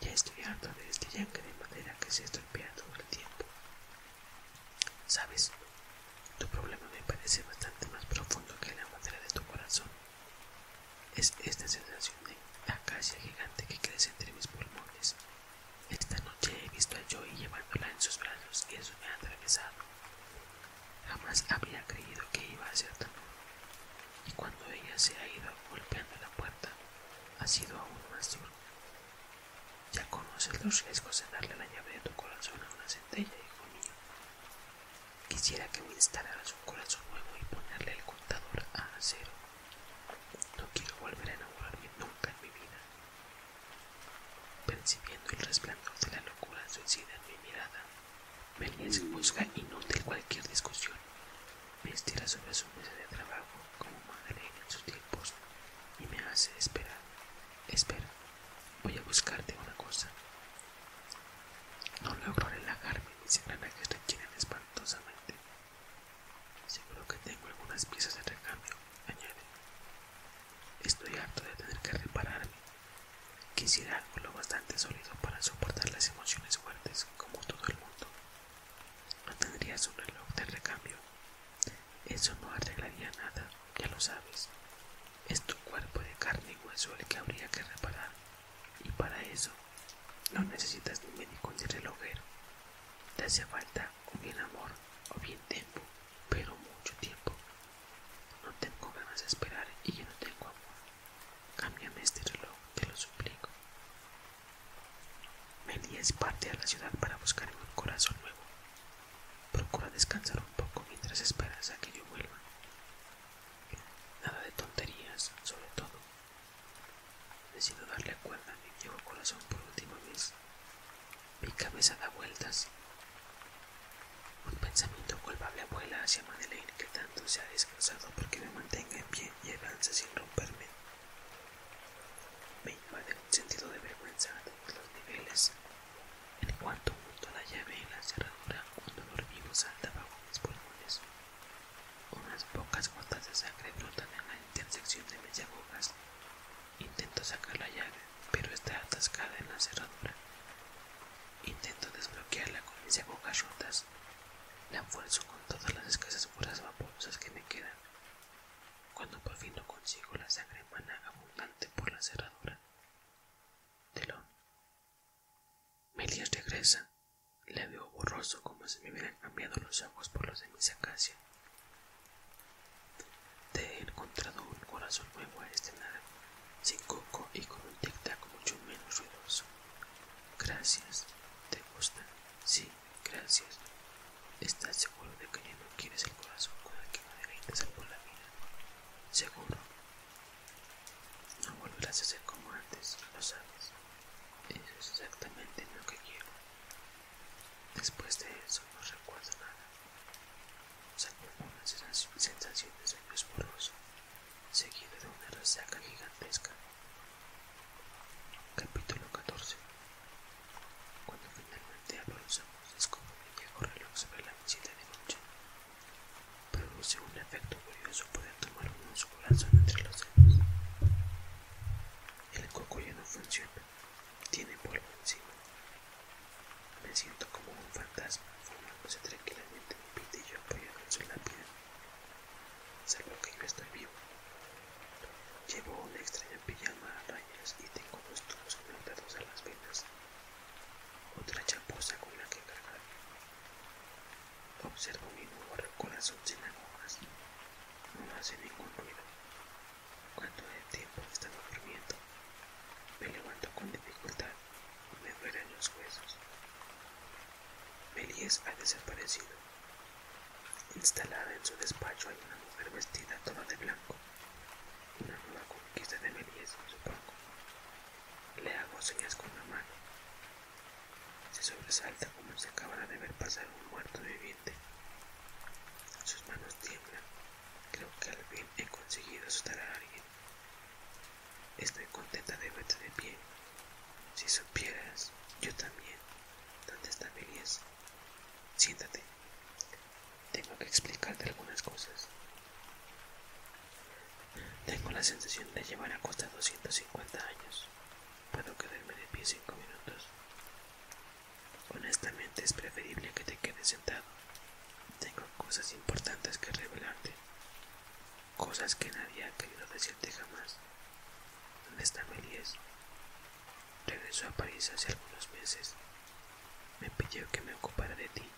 Ya estoy harto de este yaque de madera que se estorpea todo el tiempo. Sabes, tu problema me parece bastante más profundo que la madera de tu corazón. Es esta sensación de acacia gigante que crece entre mis pulmones. Esta noche he visto a Joey llevándola en sus brazos y eso me ha atravesado. Jamás había creído que iba a ser tan Y cuando ella se ha ido golpeando la puerta, ha sido aún más duro. Ya conoces los riesgos de darle la llave de tu corazón a una centella, hijo mío. Quisiera que me instalaras un corazón nuevo y ponerle el contador a cero. No quiero volver a enamorarme nunca en mi vida. Percibiendo el resplandor de la locura suicida en mi mirada, y juzga inútil cualquier discusión. Me estira sobre su mesa de trabajo como madre en sus tiempos y me hace esperar. Espera, voy a buscarte una cosa. No logro relajarme, mis engranajes requieren espantosamente. Seguro que tengo algunas piezas de recambio, añade. Estoy harto de tener que repararme Quisiera algo lo bastante sólido para soportar las emociones fuertes como todo el mundo. No tendrías un reloj de recambio. Eso no arreglaría nada, ya lo sabes. Es tu cuerpo de carne y hueso el que habría que reparar. Y para eso no necesitas ni médico ni relojero. Te hace falta o bien amor o bien tiempo pero mucho tiempo. No tengo ganas de esperar y yo no tengo amor. Cámbiame este reloj, te lo suplico. Melías parte a la ciudad para buscarme un corazón nuevo. Procura descansar un poco mientras esperas a que yo vuelva. Nada de tonterías, sobre todo. Decido darle cuerda a mi viejo corazón por última vez. Mi cabeza da vueltas. Un pensamiento culpable vuela hacia Madeleine que tanto se ha descansado porque me mantenga en pie y avanza sin romperme. Me invade un sentido de vergüenza a todos los niveles. En cuanto junto la llave en la cerradura, un dolor vivo salta bajo mis pulmones. Unas pocas gotas de sangre brotan en la intersección de mis agujas. Intento sacar la llave, pero está atascada en la cerradura Intento desbloquearla con mis bocas rotas. La fuerzo con todas las escasas fuerzas vaporosas que me quedan. Cuando por fin consigo la sangre emana abundante por la cerradura. Telón. Melias regresa. La veo borroso como si me hubieran cambiado los ojos por los de mi sacacia. Te he encontrado un corazón nuevo a nada este sin coco y con un tic-tac mucho menos ruidoso. Gracias. ¿Te gusta? Sí, gracias. ¿Estás seguro de que no quieres el corazón con que la vida? Seguro. No volverás a ser como antes, lo sabes. Eso es exactamente lo que quiero. Después de eso no recuerdo nada una sensación de sueño seguido de una resaca gigantesca. Capítulo 14 Cuando finalmente abro los ojos, que mi viejo reloj sobre la visita de noche. Produce un efecto curioso poder tomar un su corazón entre los dedos. El coco ya no funciona, tiene polvo encima. Me siento como un fantasma formándose tranquilamente en un pitillo apoyado en la piel, Salvo que yo estoy vivo. Llevo una extraña pijama a rayas y tengo dos tubos conectados a las venas. Otra chaposa con la que cargar. Observo mi nuevo corazón sin agujas. No hace ningún ruido. Cuando es tiempo he estado durmiendo, me levanto con dificultad me duelen los huesos. Melies ha desaparecido. Instalada en su despacho hay una mujer vestida toda de blanco. Una nueva conquista de Melies, supongo. Le hago señas con la mano. Se sobresalta como si acabara de ver pasar un muerto viviente. Sus manos tiemblan. Creo que al fin he conseguido asustar a alguien. Estoy contenta de verte de pie. Si supieras, yo también, dónde está mi Siéntate. Tengo que explicarte algunas cosas. Tengo la sensación de llevar a costa 250 años. Puedo quedarme de pie cinco minutos. Honestamente es preferible que te quedes sentado tengo cosas importantes que revelarte, cosas que nadie ha querido decirte jamás. ¿Dónde está Melies? Regresó a París hace algunos meses. Me pidió que me ocupara de ti.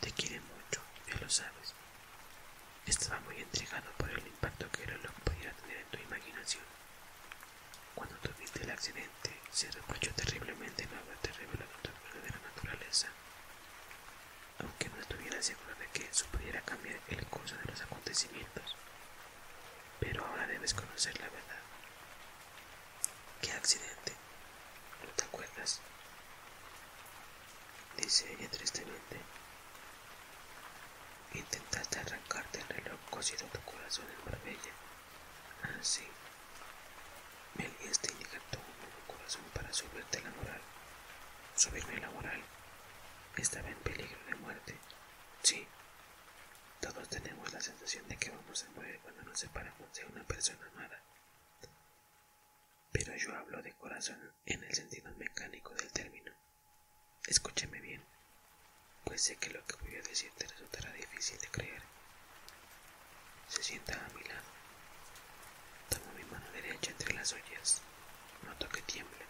Te quiere mucho, ya lo sabes. Estaba muy intrigado por el impacto que era lo que podía tener en tu imaginación. Cuando tuviste el accidente, se reprochó terriblemente no haberte revelado de la naturaleza aunque no estuviera seguro de que eso pudiera cambiar el curso de los acontecimientos. Pero ahora debes conocer la verdad. ¿Qué accidente? ¿No te acuerdas? Dice ella tristemente. Intentaste arrancarte el reloj cosido tu corazón en Marbella. Así ah, me aliviaste y un nuevo corazón para subirte la moral. Subirme la moral. Estaba en peligro de muerte. Sí. Todos tenemos la sensación de que vamos a morir cuando nos separamos de una persona amada. Pero yo hablo de corazón en el sentido mecánico del término. Escúcheme bien, pues sé que lo que voy a decir te resultará difícil de creer se sienta a mi lado. Tomo mi mano derecha entre las ollas. Noto que tiembla.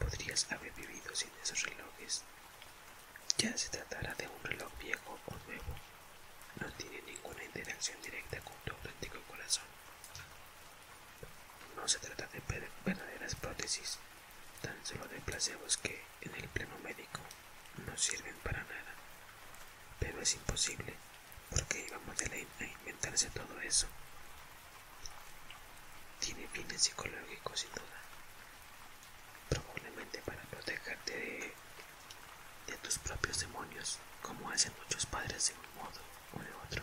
Podrías haber vivido sin esos relojes. Ya se tratará de un reloj viejo o nuevo. No tiene ninguna interacción directa con tu auténtico corazón. No se trata de verdaderas prótesis, tan solo de placebos que, en el pleno médico, no sirven para nada. Pero es imposible, porque de ley a inventarse todo eso. Tiene fines psicológicos sin duda, probablemente para protegerte de, tus propios demonios, como hacen muchos padres de un modo o de otro.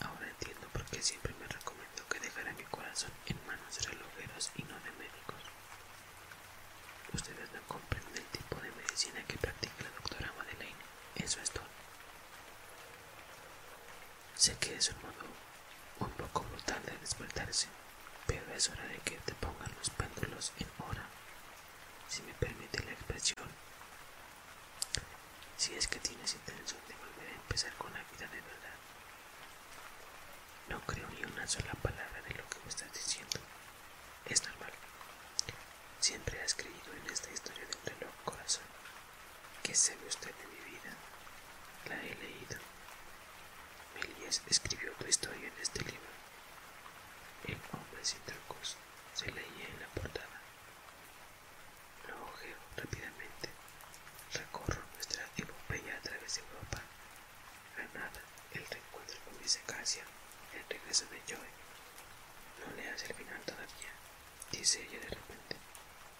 Ahora entiendo por qué siempre me recomiendo que dejara mi corazón en manos de relojeros y no de médicos. Ustedes no comprenden el tipo de medicina que practica la doctora Madeleine. Eso es todo. Sé que es un modo un poco brutal de despertarse, pero es hora de que te pongan los péndulos en hora, si me permite la expresión. Si es que tienes intención de volver a empezar con la vida de verdad. No creo ni una sola palabra de lo que me estás diciendo. Es normal. Siempre has creído en esta historia del reloj, corazón. ¿Qué sabe usted de mi vida? La he leído. Melías escribió tu historia en este libro. El hombre sin trucos se leía en la portada. Lo ojeo rápidamente. Recorro nuestra epopeya a través de Europa a nada, el reencuentro con mi el regreso de Joey No leas el final todavía, dice ella de repente.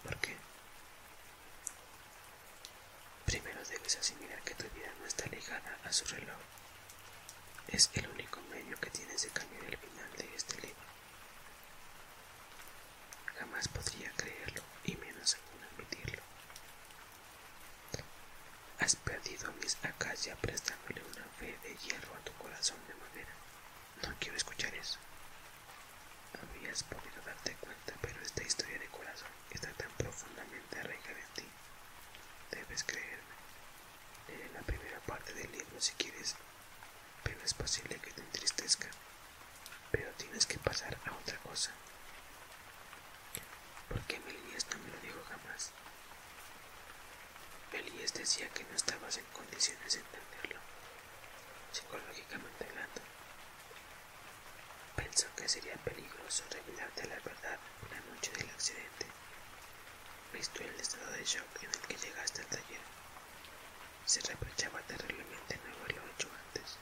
¿Por qué? Primero debes asimilar que tu vida no está ligada a su reloj. Es el único medio que tienes de cambiar el final de este libro. Jamás podría creerlo y menos aún admitirlo. Has perdido mis ya prestándole una fe de hierro a tu corazón de manera No quiero escuchar eso. Habías podido darte cuenta, pero esta historia de corazón está tan profundamente arraigada en ti. Debes creerme. Leeré la primera parte del libro si quieres, pero es posible que te entristezca. Pero tienes que pasar a otra cosa. Porque Melinies no me lo dijo jamás. Elias decía que no estabas en condiciones de entenderlo, psicológicamente hablando. Pensó que sería peligroso revelarte la verdad una noche del accidente, visto el estado de shock en el que llegaste al taller. Se reprochaba terriblemente no haberlo hecho antes.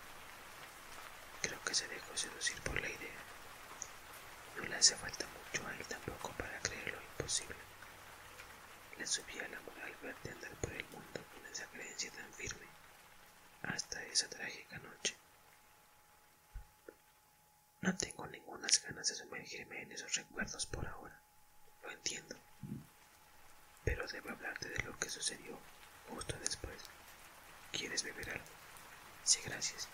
Creo que se dejó seducir por la idea no le hace falta mucho a él tampoco para creer lo imposible. Le subía la al verte andar por el mundo con esa creencia tan firme hasta esa trágica noche. No tengo ninguna ganas de sumergirme en esos recuerdos por ahora, lo entiendo, pero debo hablarte de lo que sucedió justo después. ¿Quieres beber algo? Sí, gracias,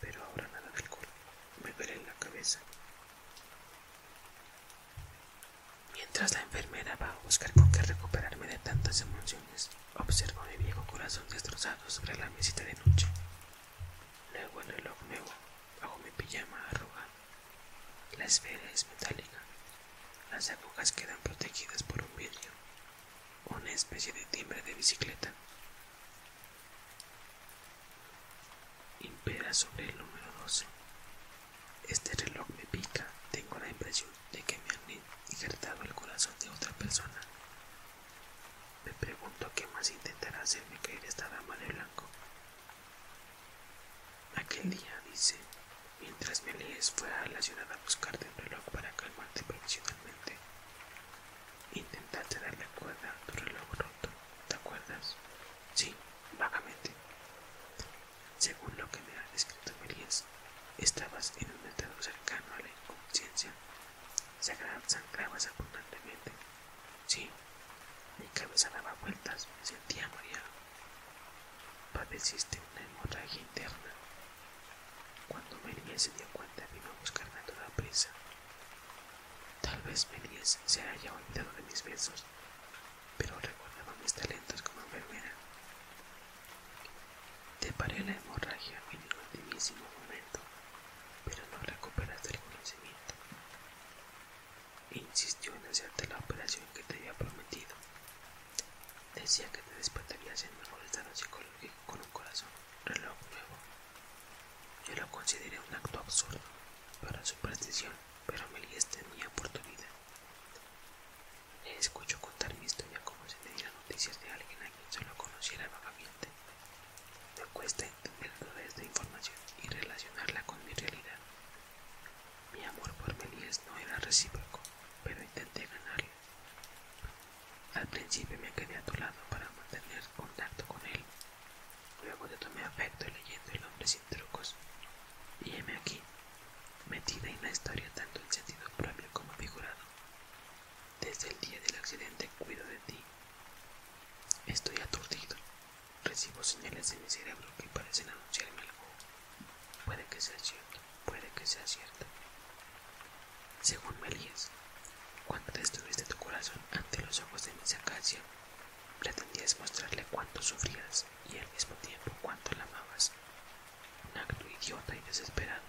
pero ahora nada de alcohol. Me veré en la cabeza. Mientras la enfermera va a buscar con qué recuperarme de tantas emociones, observo mi viejo corazón destrozado sobre la mesita de noche. Luego el reloj nuevo, bajo mi pijama arrugada. La esfera es metálica. Las agujas quedan protegidas por un vidrio, una especie de timbre de bicicleta Impera sobre el número 12. Este reloj me pica. Tengo la impresión de que me han injertado el corazón de otra persona. Me pregunto qué más intentará hacerme caer esta dama de blanco. Aquel día, dice, mientras me me fue a la ciudad a buscarte un reloj para calmarte profesionalmente. Intentaste darle cuerda a tu reloj roto, ¿te acuerdas? Sí, vagamente. Según lo que me ha descrito Melías, estabas en un estado cercano a la inconsciencia. Sangrabas abundantemente. Sí, mi cabeza daba vueltas, me sentía mareado. Padeciste una hemorragia interna. Cuando Melías se dio cuenta, vino a buscar a toda prisa. Tal vez Méliès se haya olvidado de mis besos, pero recordaba mis talentos como enfermera. Te paré la hemorragia en el ultimísimo momento, pero no recuperaste el conocimiento. insistió en hacerte la operación que te había prometido. Decía que te despertarías en mejor estado psicológico con un corazón, reloj nuevo yo lo consideré un acto absurdo para su superstición, pero Melies tenía oportunidad. Le escucho contar mi historia como si me diera noticias de alguien a quien solo conociera vagamente. Me cuesta entender toda esta información y relacionarla con mi realidad. Mi amor por Melies no era recíproco, pero intenté ganarle. Al principio me quedé a tu lado para mantener contacto con él. Luego te tomé afecto leyendo El hombre sin trucos. Y aquí, metida en la historia tanto en sentido propio como figurado. Desde el día del accidente cuido de ti. Estoy aturdido. Recibo señales en mi cerebro que parecen anunciarme algo. Puede que sea cierto, puede que sea cierto. Según Melías, cuando destruiste tu corazón ante los ojos de mi acacia, pretendías mostrarle cuánto sufrías y al mismo tiempo cuánto la amabas. Un acto idiota y desesperado,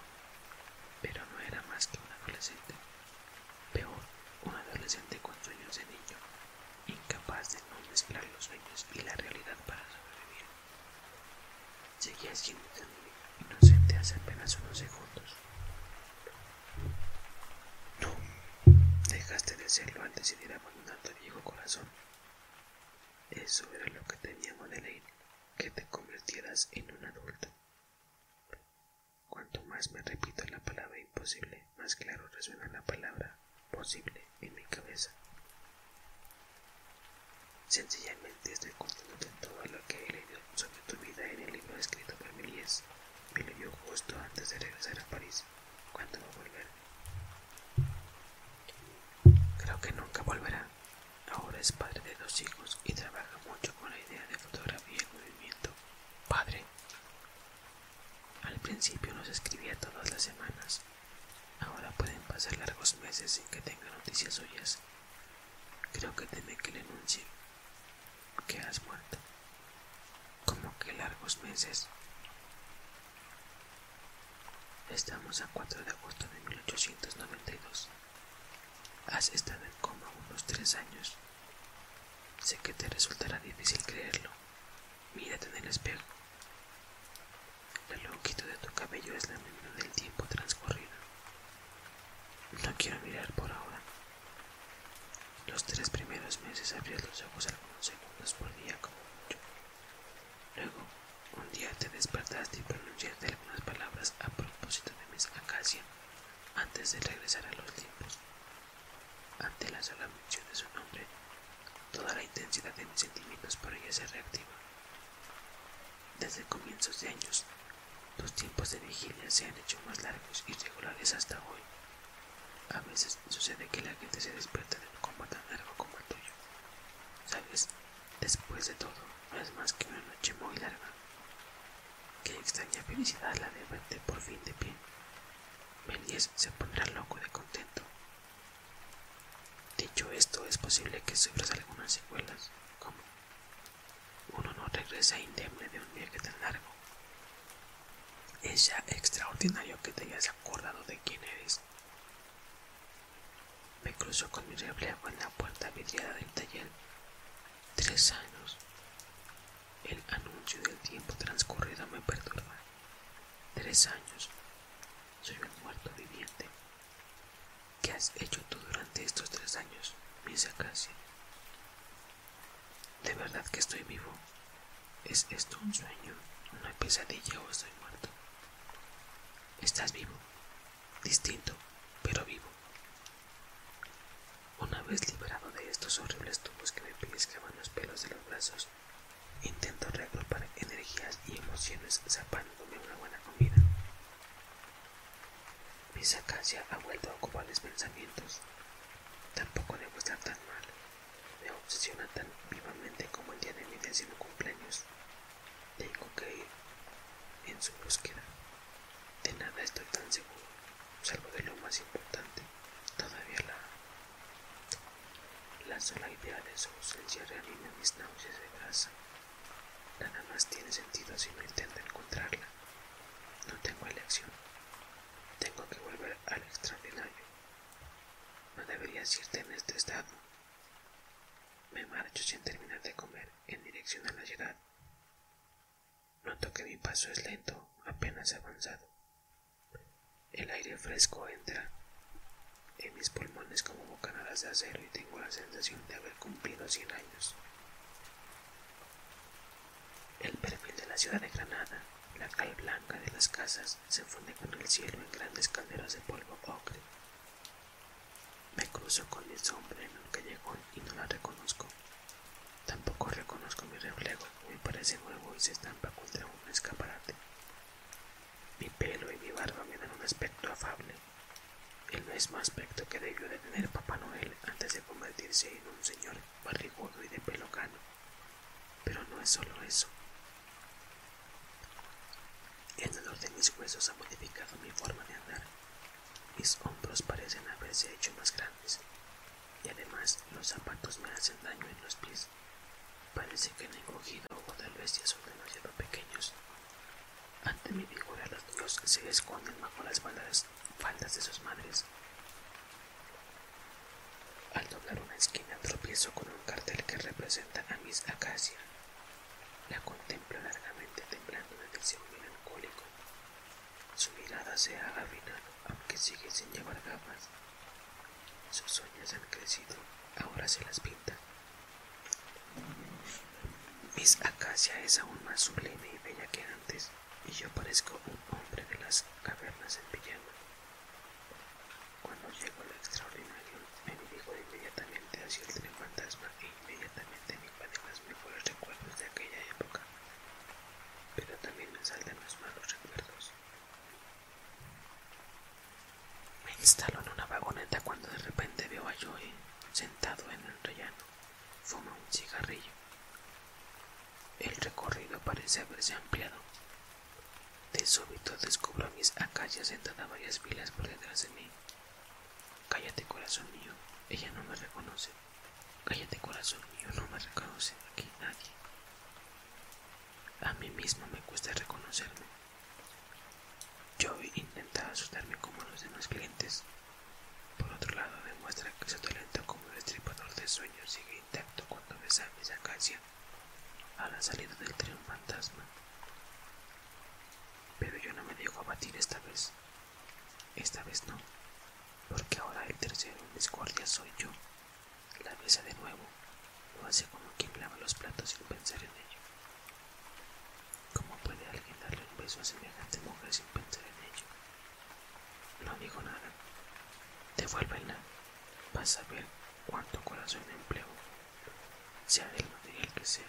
pero no era más que un adolescente. Peor, un adolescente con sueños de niño, incapaz de no mezclar los sueños y la realidad para sobrevivir. Seguías siendo inocente hace apenas unos segundos. No, dejaste de serlo al decidir abandonar tu viejo corazón. Eso era lo que teníamos de ley, que te convirtieras en un adulto. Cuanto más me repito la palabra imposible, más claro resuena la palabra posible en mi cabeza. Sencillamente estoy de todo lo que he leído sobre tu vida en el libro escrito por Méliès, me lo dio justo antes de regresar a París. ¿Cuándo va a volver? Creo que nunca volverá. Ahora es padre de dos hijos y trabaja mucho con la idea de fotografía y movimiento. Padre. Al principio nos escribía todas las semanas. Ahora pueden pasar largos meses sin que tenga noticias suyas. Creo que teme que le que has muerto. Como que largos meses. Estamos a 4 de agosto de 1892. Has estado en coma unos tres años. Sé que te resultará difícil creerlo. Mírate en el espejo. El longitud de tu cabello es la misma del tiempo transcurrido. No quiero mirar por ahora. Los tres primeros meses abrías los ojos algunos segundos por día como mucho. Luego, un día te despertaste y pronunciaste algunas palabras a propósito de mis Acacia antes de regresar a los tiempos. Ante la sola mención de su nombre, toda la intensidad de mis sentimientos por ella se reactiva. Desde comienzos de años los tiempos de vigilia se han hecho más largos y regulares hasta hoy. A veces sucede que la gente se despierta de un coma tan largo como el tuyo. Sabes, después de todo, no es más que una noche muy larga. Qué extraña felicidad la de verte por fin de pie. Melies se pondrá loco de contento. Dicho esto, es posible que sufras algunas secuelas, como uno no regresa indemne de un viaje tan largo. Es ya extraordinario que te hayas acordado de quién eres. Me cruzo con mi reflejo en la puerta vidriada del taller. Tres años. El anuncio del tiempo transcurrido me perturba. Tres años. Soy un muerto viviente. ¿Qué has hecho tú durante estos tres años, de verdad que estoy vivo. ¿Es esto un sueño, una pesadilla o estoy muerto? Estás vivo, distinto, pero vivo. Una vez liberado de estos horribles tubos que me pellizcaban los pelos de los brazos, intento reagrupar energías y emociones zapándome una buena comida. Mi sacasia ha vuelto a ocupar mis pensamientos. Tampoco debo estar tan mal. Me obsesiona tan vivamente como el día de mi décimo cumpleaños. Tengo que ir en su búsqueda. De nada estoy tan seguro, salvo de lo más importante. Todavía la... La sola idea de su ausencia reanima mis náuseas de grasa. Nada más tiene sentido si no intento encontrarla. No tengo elección. Tengo que volver al extraordinario. No deberías irte en este estado. Me marcho sin terminar de comer en dirección a la ciudad. Noto que mi paso es lento, apenas avanzado. El aire fresco entra en mis pulmones como bocanadas de acero y tengo la sensación de haber cumplido 100 años. El perfil de la ciudad de Granada, la cal blanca de las casas, se funde con el cielo en grandes calderas de polvo ocre. Me cruzo con el sombra en un callejón y no la reconozco. Tampoco reconozco mi reflejo, me parece nuevo y se estampa contra un escaparate. Mi pelo y mi barba me dan un aspecto afable, el mismo aspecto que debió de tener Papá Noel antes de convertirse en un señor barrigudo y de pelo cano. Pero no es solo eso. El dolor de mis huesos ha modificado mi forma de andar. Mis hombros parecen haberse hecho más grandes. Y además los zapatos me hacen daño en los pies. Parece que han encogido o tal vez ya son demasiado pequeños. Ante mi figura los dios se esconden bajo las balas faldas de sus madres. Al doblar una esquina tropiezo con un cartel que representa a Miss Acacia. La contemplo largamente temblando de deseo melancólico. Su mirada se ha aunque sigue sin llevar gafas. Sus sueños han crecido, ahora se las pinta. Miss Acacia es aún más sublime y bella que antes y yo parezco un hombre de las cavernas en pijama. Cuando llegó lo extraordinario, me dirijo inmediatamente hacia el tren fantasma e inmediatamente me invaden los mejores recuerdos de aquella época, pero también me salen los malos recuerdos. Me instaló en una vagoneta cuando de repente veo a Joey sentado en el rellano, fuma un cigarrillo. El recorrido parece haberse ampliado. De súbito descubro a mis acallas sentadas varias pilas por detrás de mí. Cállate, corazón mío, ella no me reconoce. Cállate, corazón mío, no me reconoce aquí nadie. A mí mismo me cuesta reconocerme. Yo intentaba asustarme como los demás clientes, por otro lado, demuestra que su talento como estripador de sueños sigue intacto cuando besa a esa Acacia a la salida del tren fantasma. Pero yo no me dejo abatir esta vez. Esta vez no, porque ahora el tercero en guardias soy yo. La mesa de nuevo, lo hace como quien lava los platos sin pensar en ello. ¿Cómo puede alguien darle un beso a semejante mujer sin pensar en ello? No digo nada. Devuélvela. Vas a ver cuánto corazón empleo, sea del material que sea.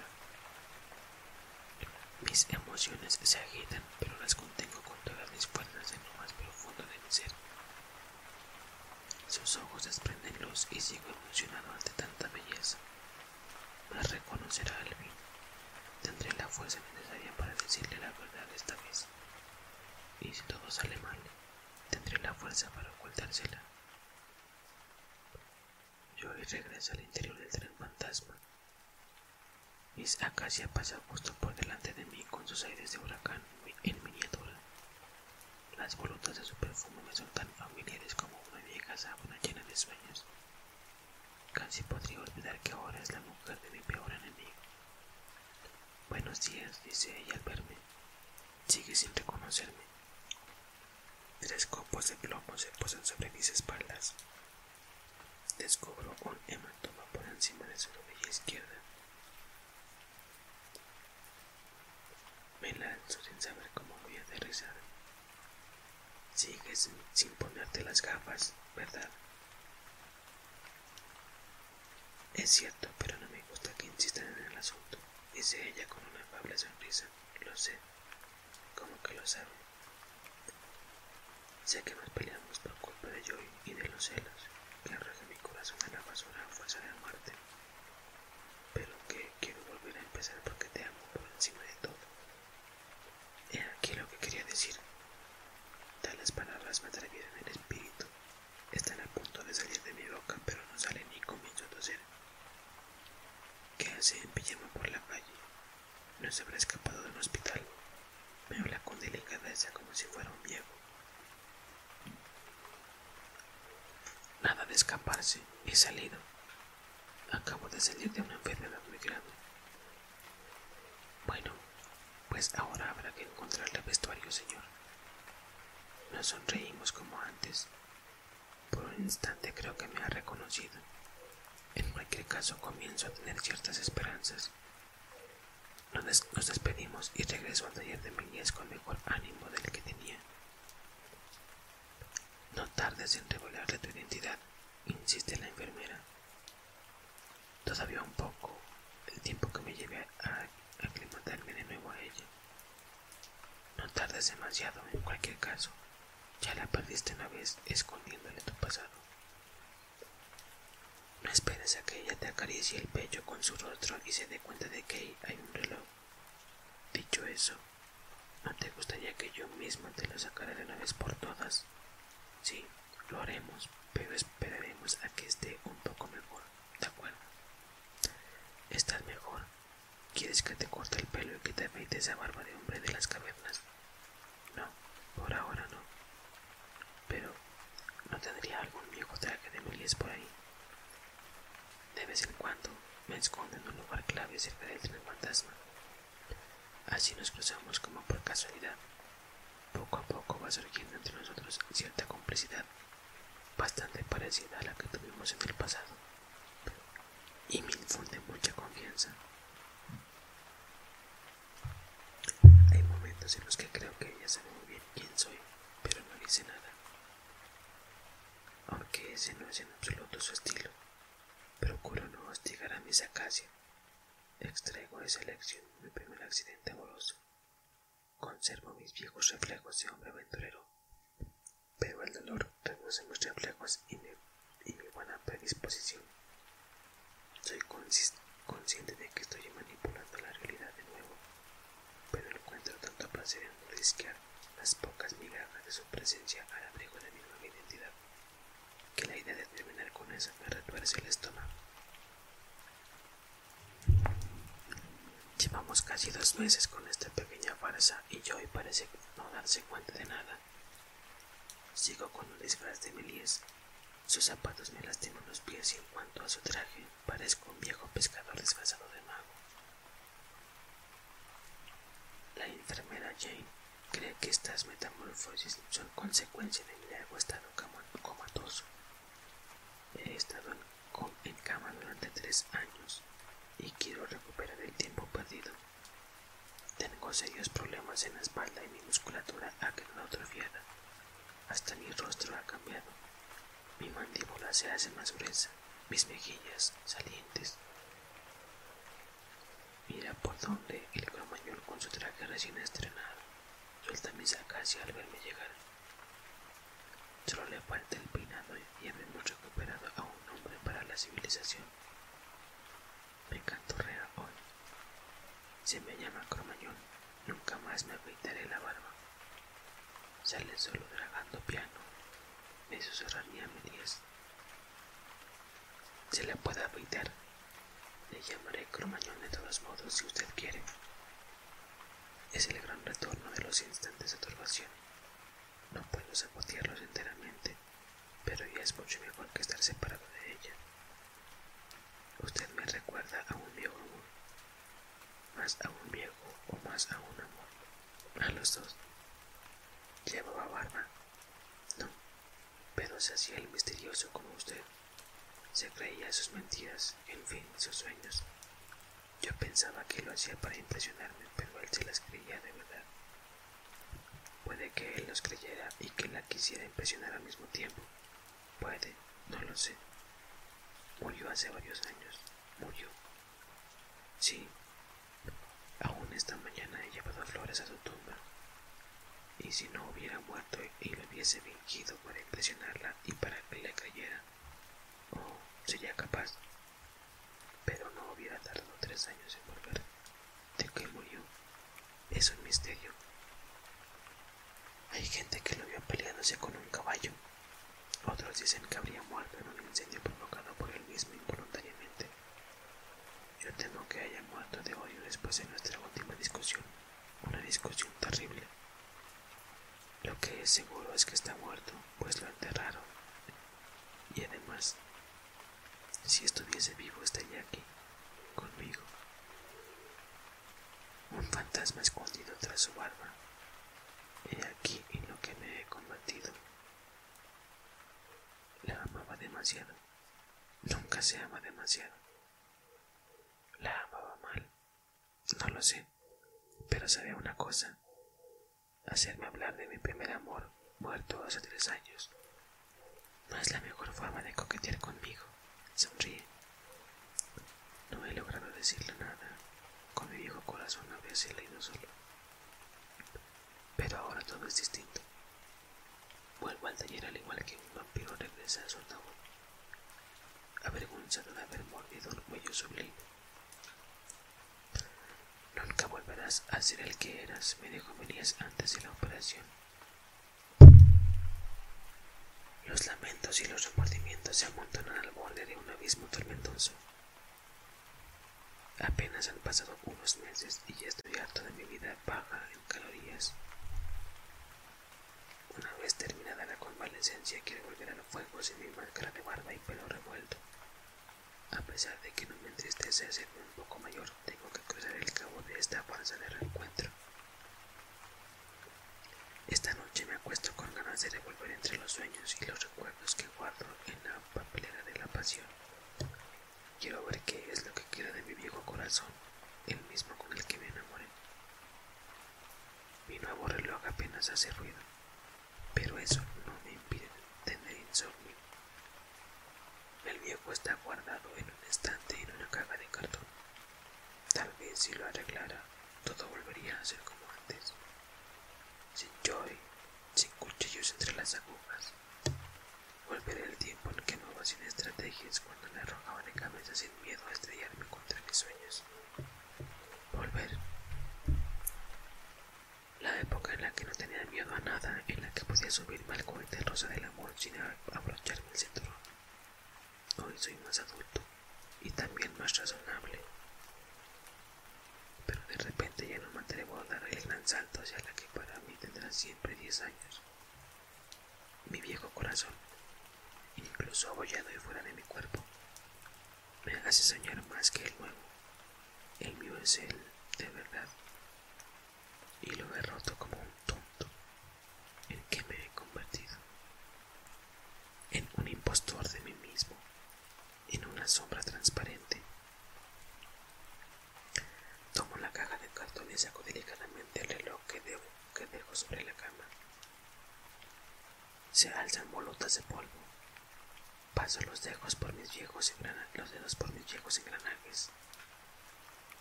Mis emociones se agitan, pero las contengo con todas mis fuerzas en lo más profundo de mi ser. Sus ojos desprenden luz y sigo emocionado ante tanta belleza. Las reconocerá al fin. Tendré la fuerza necesaria para decirle la verdad esta vez. Y si todo sale mal, tendré la fuerza para ocultársela. Yo regreso al interior del tren fantasma. Miss Acacia pasa justo por delante de mí con sus aires de huracán en miniatura. Las volutas de su perfume me son tan familiares como una vieja sabana llena de sueños. Casi podría olvidar que ahora es la mujer de mi peor enemigo. Buenos días, dice ella al verme. Sigue sin reconocerme. Tres copos de plomo se posan sobre mis espaldas. Descubro un hematoma por encima de su rodilla izquierda. Me lanzo sin saber cómo voy a aterrizar. Sigues sin ponerte las gafas, ¿verdad? Es cierto, pero no me gusta que insistan en el asunto, dice ella con una afable sonrisa. Lo sé. como que lo saben? Sé que nos peleamos por culpa de Joy y de los celos que arroja mi corazón en la basura a fuerza de muerte. Pero que quiero volver a empezar porque te amo por encima de todo. He aquí lo que quería decir. Tales palabras me atrevieron el espíritu. Están a punto de salir de mi boca, pero no salen ni comienzo a toser. ¿Qué hace en por la calle? No se habrá escapado de un hospital. Me habla con delicadeza como si fuera un viejo. Nada de escaparse, he salido. Acabo de salir de una enfermedad muy grande bueno, pues ahora habrá que encontrarle vestuario, señor. Nos sonreímos como antes. Por un instante creo que me ha reconocido. En cualquier caso comienzo a tener ciertas esperanzas. Nos, despedimos y regreso al taller de Miguel con mejor ánimo del que tenía. No tardes en revelarle tu identidad, insiste la enfermera. Todavía un poco el tiempo que me lleve a aclimatarme de nuevo a ella. No tardes demasiado, en cualquier caso. Ya la perdiste una vez escondiéndole tu pasado. No esperes a que ella te acaricie el pecho con su rostro y se dé cuenta de que hay un reloj. Dicho eso, ¿no te gustaría que yo mismo te lo sacara de una vez por todas? Sí, lo haremos, pero esperaremos a que esté un poco mejor, ¿de acuerdo? ¿Estás mejor? ¿Quieres que te corte el pelo y que te afeite esa barba de hombre de las cavernas? No, por ahora no. Pero, ¿no tendría algún viejo traje de Melies por ahí? De vez en cuando me escondo en un lugar clave cerca del fantasma. Así nos cruzamos como por casualidad. Poco a poco va surgiendo entre nosotros cierta complicidad, bastante parecida a la que tuvimos en el pasado, y me infunde mucha confianza. Hay momentos en los que creo que ella sabe muy bien quién soy, pero no dice nada, aunque ese no es en absoluto su estilo. Procuro no hostigar a mis acacia. Extraigo esa lección de mi primer accidente amoroso. Conservo mis viejos reflejos de hombre aventurero, pero el dolor reduce mis reflejos y mi, buena predisposición. Soy consciente de que estoy manipulando la realidad de nuevo, pero encuentro tanto placer en risquear las pocas migajas de su presencia al abrigo de mi nueva identidad, que la idea de terminar con eso me retuerce el estómago. Llevamos casi dos meses con esta pequeña farsa y Joy parece no darse cuenta de nada. Sigo con un disfraz de Melies. Sus zapatos me lastiman los pies y en cuanto a su traje, parezco un viejo pescador desgazado de mago. La enfermera Jane cree que estas metamorfosis son consecuencia de mi largo estado comatoso. He estado en cama durante tres años y quiero recuperar el tiempo perdido. Tengo serios problemas en la espalda y mi musculatura ha quedado atrofiada. Hasta mi rostro ha cambiado. Mi mandíbula se hace más gruesa, mis mejillas salientes. Mira por dónde el cromañón con su traje recién estrenado Suelta mis casi al verme llegar. Solo le falta el peinado y hemos recuperado a un hombre para la civilización. Me rea hoy. Se me llama Cromañón. Nunca más me afeitaré la barba. Sale solo dragando piano. Me susurraría mi medias. Se le puede afeitar. Le llamaré Cromañón de todos modos si usted quiere. Es el gran retorno de los instantes de turbación. No puedo sabotearlos enteramente, pero ya es mucho mejor que estar separado de ella. Usted me recuerda a un viejo amor, más a un viejo o más a un amor, a los dos. Llevaba barba, no, pero se hacía el misterioso como usted. Se creía sus mentiras, en fin, sus sueños. Yo pensaba que lo hacía para impresionarme, pero él se las creía de verdad. Puede que él los creyera y que la quisiera impresionar al mismo tiempo. Puede, no lo sé. Murió hace varios años. Murió. Sí. Aún esta mañana he llevado flores a su tumba. Y si no hubiera muerto y lo hubiese visto, para impresionarla y para que le cayera, o mm, sería capaz. Pero no hubiera tardado tres años en volver. ¿De qué murió? Es un misterio. Hay gente que lo vio peleándose con un caballo. Otros dicen que habría muerto en un incendio provocado por él mismo involuntariamente. Yo tengo que haya muerto de odio después de nuestra última discusión. Una discusión terrible. Lo que es seguro es que está muerto, pues lo enterraron. Y además, si estuviese vivo estaría aquí, conmigo. Un fantasma escondido tras su barba. He aquí en lo que me he combatido. La amaba demasiado. Nunca se ama demasiado. La amaba mal, no lo sé, pero sabía una cosa, hacerme hablar de mi primer amor, muerto hace tres años. No es la mejor forma de coquetear conmigo, sonríe. No he logrado decirle nada, con mi viejo corazón no había sido leído solo. Pero ahora todo es distinto. Vuelvo al taller al igual que un vampiro regresa a su ataúd avergonzado de haber mordido el cuello sublime. Nunca volverás a ser el que eras, me dijo venías antes de la operación. Los lamentos y los remordimientos se amontonan al borde de un abismo tormentoso. Apenas han pasado unos meses y ya estoy harto de mi vida baja en calorías. Una vez terminada la convalecencia, quiero volver a los fuegos y mi máscara de barba y pelo revuelto. A pesar de que no me entristece ser un poco mayor, tengo que cruzar el cabo de esta panza de reencuentro. Esta noche me acuesto con ganas de revolver entre los sueños y los recuerdos que guardo en la papelera de la pasión. Quiero ver qué es lo que quiero de mi viejo corazón, el mismo con el que me enamoré. Mi nuevo reloj apenas hace ruido, pero eso no me impide tener insomnio. El viejo está guardado en un estante en una caja de cartón. Tal vez si lo arreglara, todo volvería a ser como antes. Sin joy, sin cuchillos entre las agujas. Volveré el tiempo en que no sin estrategias cuando me arrojaba de cabeza sin miedo a estrellarme contra mis sueños volver. La época en la que no tenía miedo a nada, en la que podía subirme al cohete rosa del amor sin abrocharme el cinturón. Hoy soy más adulto y también más razonable. Pero de repente ya no me atrevo a dar el gran salto hacia la que para mí tendrá siempre diez años mi viejo corazón, incluso abollado y fuera de mi cuerpo. Me hace soñar más que el nuevo. El mío es el de verdad. Y lo he roto como un tonto, en que me he convertido. En un impostor de mí mismo, en una sombra transparente. Tomo la caja de cartón y saco delicadamente el reloj que, debo, que dejo sobre la cama. Se alzan bolotas de polvo. Paso los dedos por mis viejos engranajes,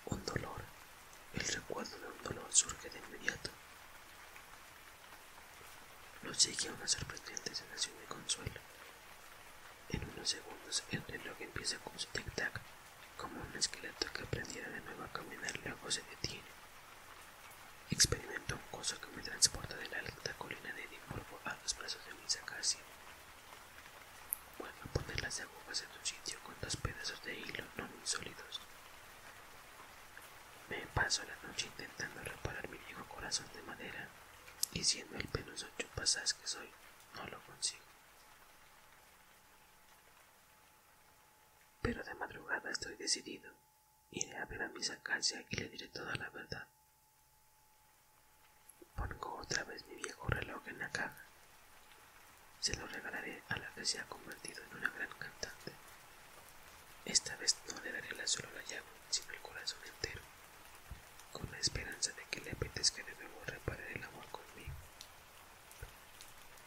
Un dolor, el recuerdo de un dolor surge de inmediato. Lo sigue una sorprendente sensación de consuelo. En unos segundos el reloj empieza con su tic-tac, como un esqueleto que aprendiera de nuevo a caminar luego se detiene. Experimento un coso que me transporta de la alta colina de Edimburgo a los brazos de mi sacacia. Vuelvo a poner las agujas en su sitio con dos pedazos de hilo no muy sólidos. Me paso la noche intentando reparar mi viejo corazón de madera, y siendo el penoso chupasás que soy, no lo consigo. Pero de madrugada estoy decidido. Iré a ver a misa acacias y le diré toda la verdad. Pongo otra vez mi viejo reloj en la caja. Se lo regalaré a la que se ha convertido en una gran cantante. Esta vez no le daré la solo la llave, sino el corazón entero, con la esperanza de que le apetezca que debemos reparar el amor conmigo.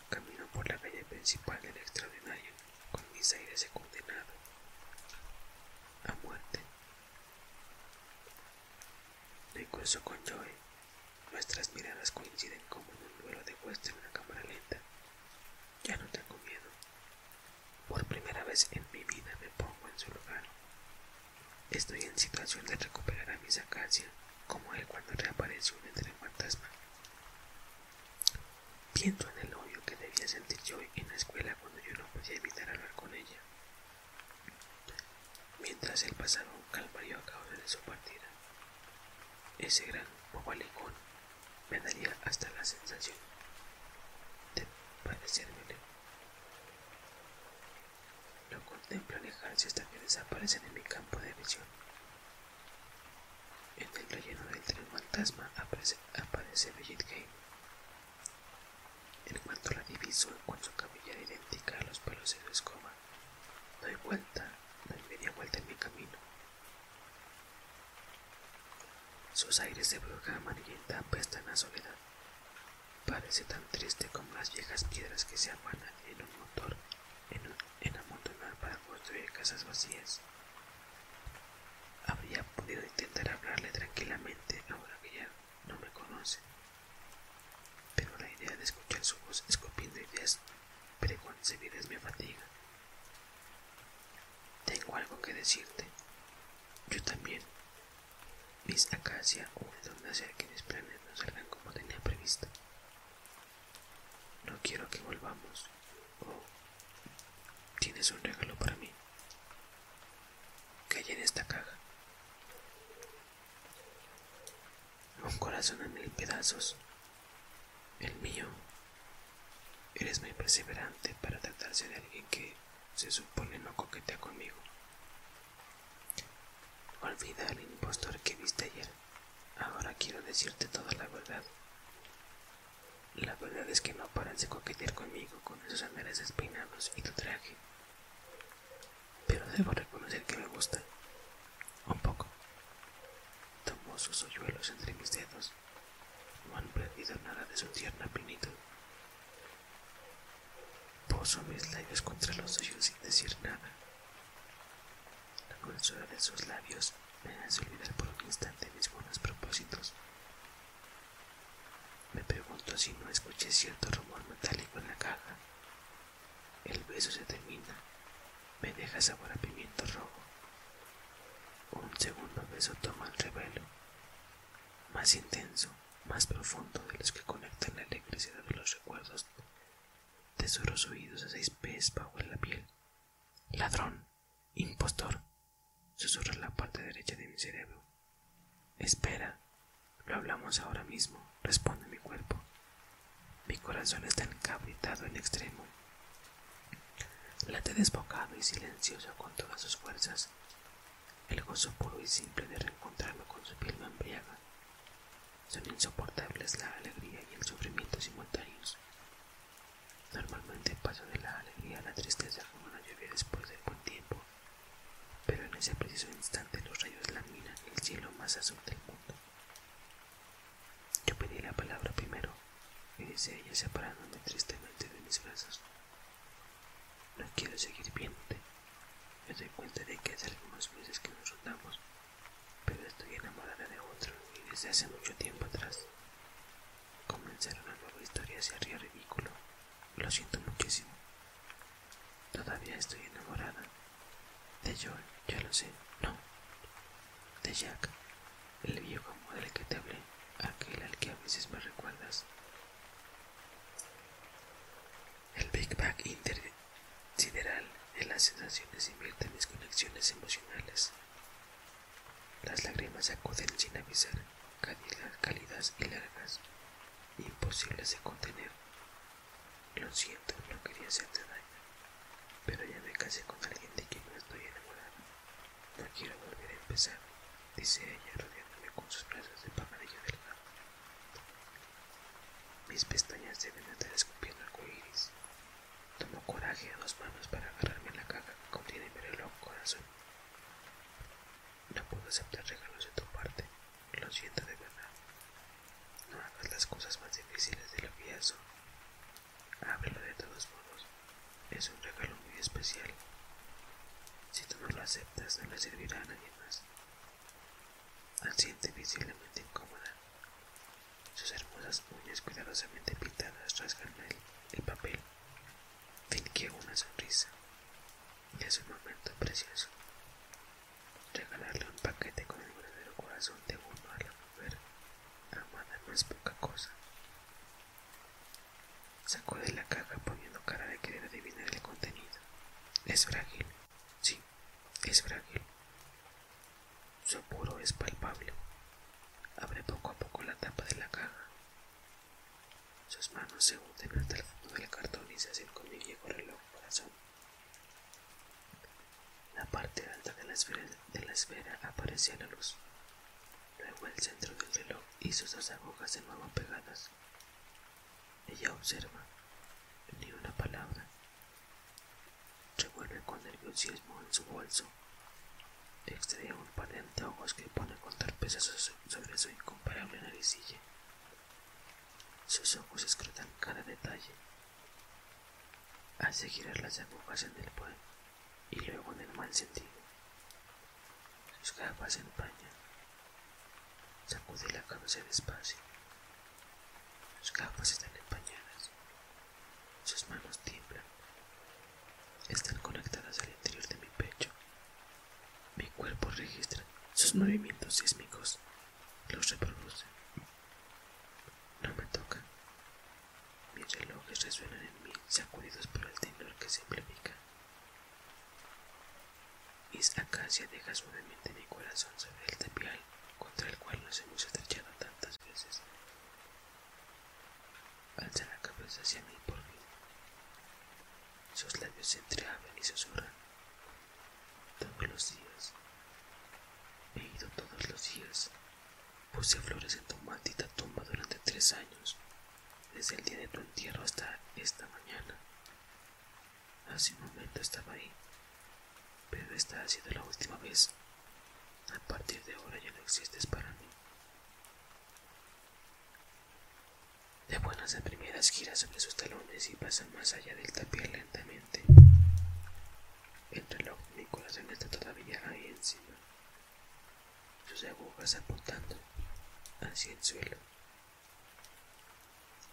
Camino por la calle principal del extraordinario con mis aires he condenado a muerte. No curso con Joey nuestras miradas coinciden como en un duelo de vuestro en una cámara lenta. Ya no tengo miedo. Por primera vez en mi vida me pongo en su lugar. Estoy en situación de recuperar a mi acacias, como él cuando reapareció un fantasma. Pienso en el odio que debía sentir yo en la escuela cuando yo no podía evitar hablar con ella. Mientras él pasaba un calvario a causa de su partida, ese gran bobalicón me daría hasta la sensación de león. Lo contemplo alejarse hasta que desaparecen en mi campo de visión en el relleno del tren fantasma aparece, aparece Bridget game. En cuanto la divisó con su camilla idéntica a los pelos de su escoba, doy vuelta, doy media vuelta en mi camino. Sus aires de bruja está en la soledad. Parece tan triste como las viejas piedras que se afanan en un motor, en amontonar para construir casas vacías. Habría podido intentar hablarle tranquilamente ahora que ya no me conoce, pero la idea de escuchar su voz es escupiendo ideas preconcebidas me fatiga. Tengo algo que decirte. Yo también. Mis Acacia hubo de hacer que mis planes no salgan como tenía previsto. No quiero que volvamos. Oh, tienes un regalo para mí. Que hay en esta caja? Un corazón en mil pedazos. El mío. Eres muy perseverante para tratarse de alguien que se supone no coquetea conmigo. Olvida al impostor que viste ayer. Ahora quiero decirte toda la verdad. La verdad es que no paran de coquetear conmigo con esos andares espinados y tu traje. Pero debo reconocer que me gusta. Un poco. Tomó sus hoyuelos entre mis dedos. No han perdido nada de su tierna pinito. Poso mis labios contra los suyos sin decir nada. La dulzura de sus labios me hace olvidar por un instante mis buenos propósitos. Me pregunto si no escuché cierto rumor metálico en la caja. El beso se termina, me deja sabor a pimiento rojo. Un segundo beso toma el revelo, más intenso, más profundo de los que conectan la electricidad de los recuerdos, tesoros oídos a seis pies bajo la piel. Ladrón, Impostor, susurra la parte derecha de mi cerebro. Espera, lo hablamos ahora mismo, responde mi cuerpo. Mi corazón está encabritado en extremo. Late desbocado y silencioso con todas sus fuerzas. El gozo puro y simple de reencontrarme con su piel me embriaga. Son insoportables la alegría y el sufrimiento simultáneos. Normalmente paso de la alegría a la tristeza como una lluvia después del buen tiempo, pero en ese preciso instante los rayos laminan el cielo más azul del mundo. Yo pedí la palabra primero, y dice ella separándome tristemente de mis brazos. No quiero seguir viéndote. Me doy cuenta de que hace algunos meses que nos andamos pero estoy enamorada de otro y desde hace mucho tiempo atrás. Comenzar una nueva historia sería ridículo. Lo siento muchísimo. Todavía estoy enamorada. De Joel, ya lo sé, no. De Jack, el viejo modelo del que te hablé, aquel al que a veces me recuerdas. El Big Bang sideral en las sensaciones invierte mis conexiones emocionales. Las lágrimas acuden sin avisar, cálidas y largas, imposibles de contener. Lo siento, no quería hacerte daño, pero ya me casé con alguien de quien no estoy enamorado. No quiero volver a empezar, dice ella rodeándome con sus brazos de pamarillo delgado. Mis pestañas deben estar escupiendo coiris. Tomo coraje a dos manos para agarrarme la caja que contiene mi reloj corazón. No puedo aceptar regalos de tu parte. Lo siento de verdad. No hagas las cosas más difíciles de la vida. son. Ábrelo de todos modos. Es un regalo muy especial. Si tú no lo aceptas, no le servirá a nadie más. Siente visiblemente incómoda. Sus hermosas uñas cuidadosamente pintadas rasgan el papel Fingió una sonrisa. Es un momento precioso. Regalarle un paquete con el verdadero corazón de uno a la mujer amada no es poca cosa. Sacó de la caja poniendo cara de querer adivinar el contenido. Es frágil. Sí, es frágil. Su apuro es palpable. Abre poco a poco la tapa de la caja. Sus manos se hunden hasta el fondo del cartón y se hacen con mi viejo reloj corazón. La parte alta de la esfera, de la aparece a la luz. Luego el centro del reloj y sus dos agujas de nuevo pegadas. Ella observa, ni una palabra. Revuelve con nerviosismo en su bolso Extrae un par de que pone con torpeza sobre su incomparable naricilla. Sus ojos escrutan cada detalle. Hace girar las agujas en el buen y luego en el mal sentido. Sus capas se empañan. Sacude la cabeza despacio. Sus capas están empañadas. Sus manos tiemblan. Están conectadas al interior de mi pecho. Mi cuerpo registra sus movimientos sísmicos, los reproduce. No me tocan. Mis relojes resuenan en mí, sacudidos por el temor que simplifica. Mis Acacia deja suavemente mi corazón sobre el tapial contra el cual nos hemos estrechado tantas veces Alza la cabeza hacia mí por mí. Sus labios se entreabren y susurran. Todos los días. He ido todos los días. Puse flores en tu maldita tumba durante tres años, desde el día de tu entierro hasta esta mañana. Hace un momento estaba ahí, pero esta ha sido la última vez. A partir de ahora ya no existes para mí. De buenas a primeras giras sobre sus talones y pasan más allá del tapial lentamente. El reloj mi corazón está todavía ahí encima, sus agujas apuntando hacia el suelo.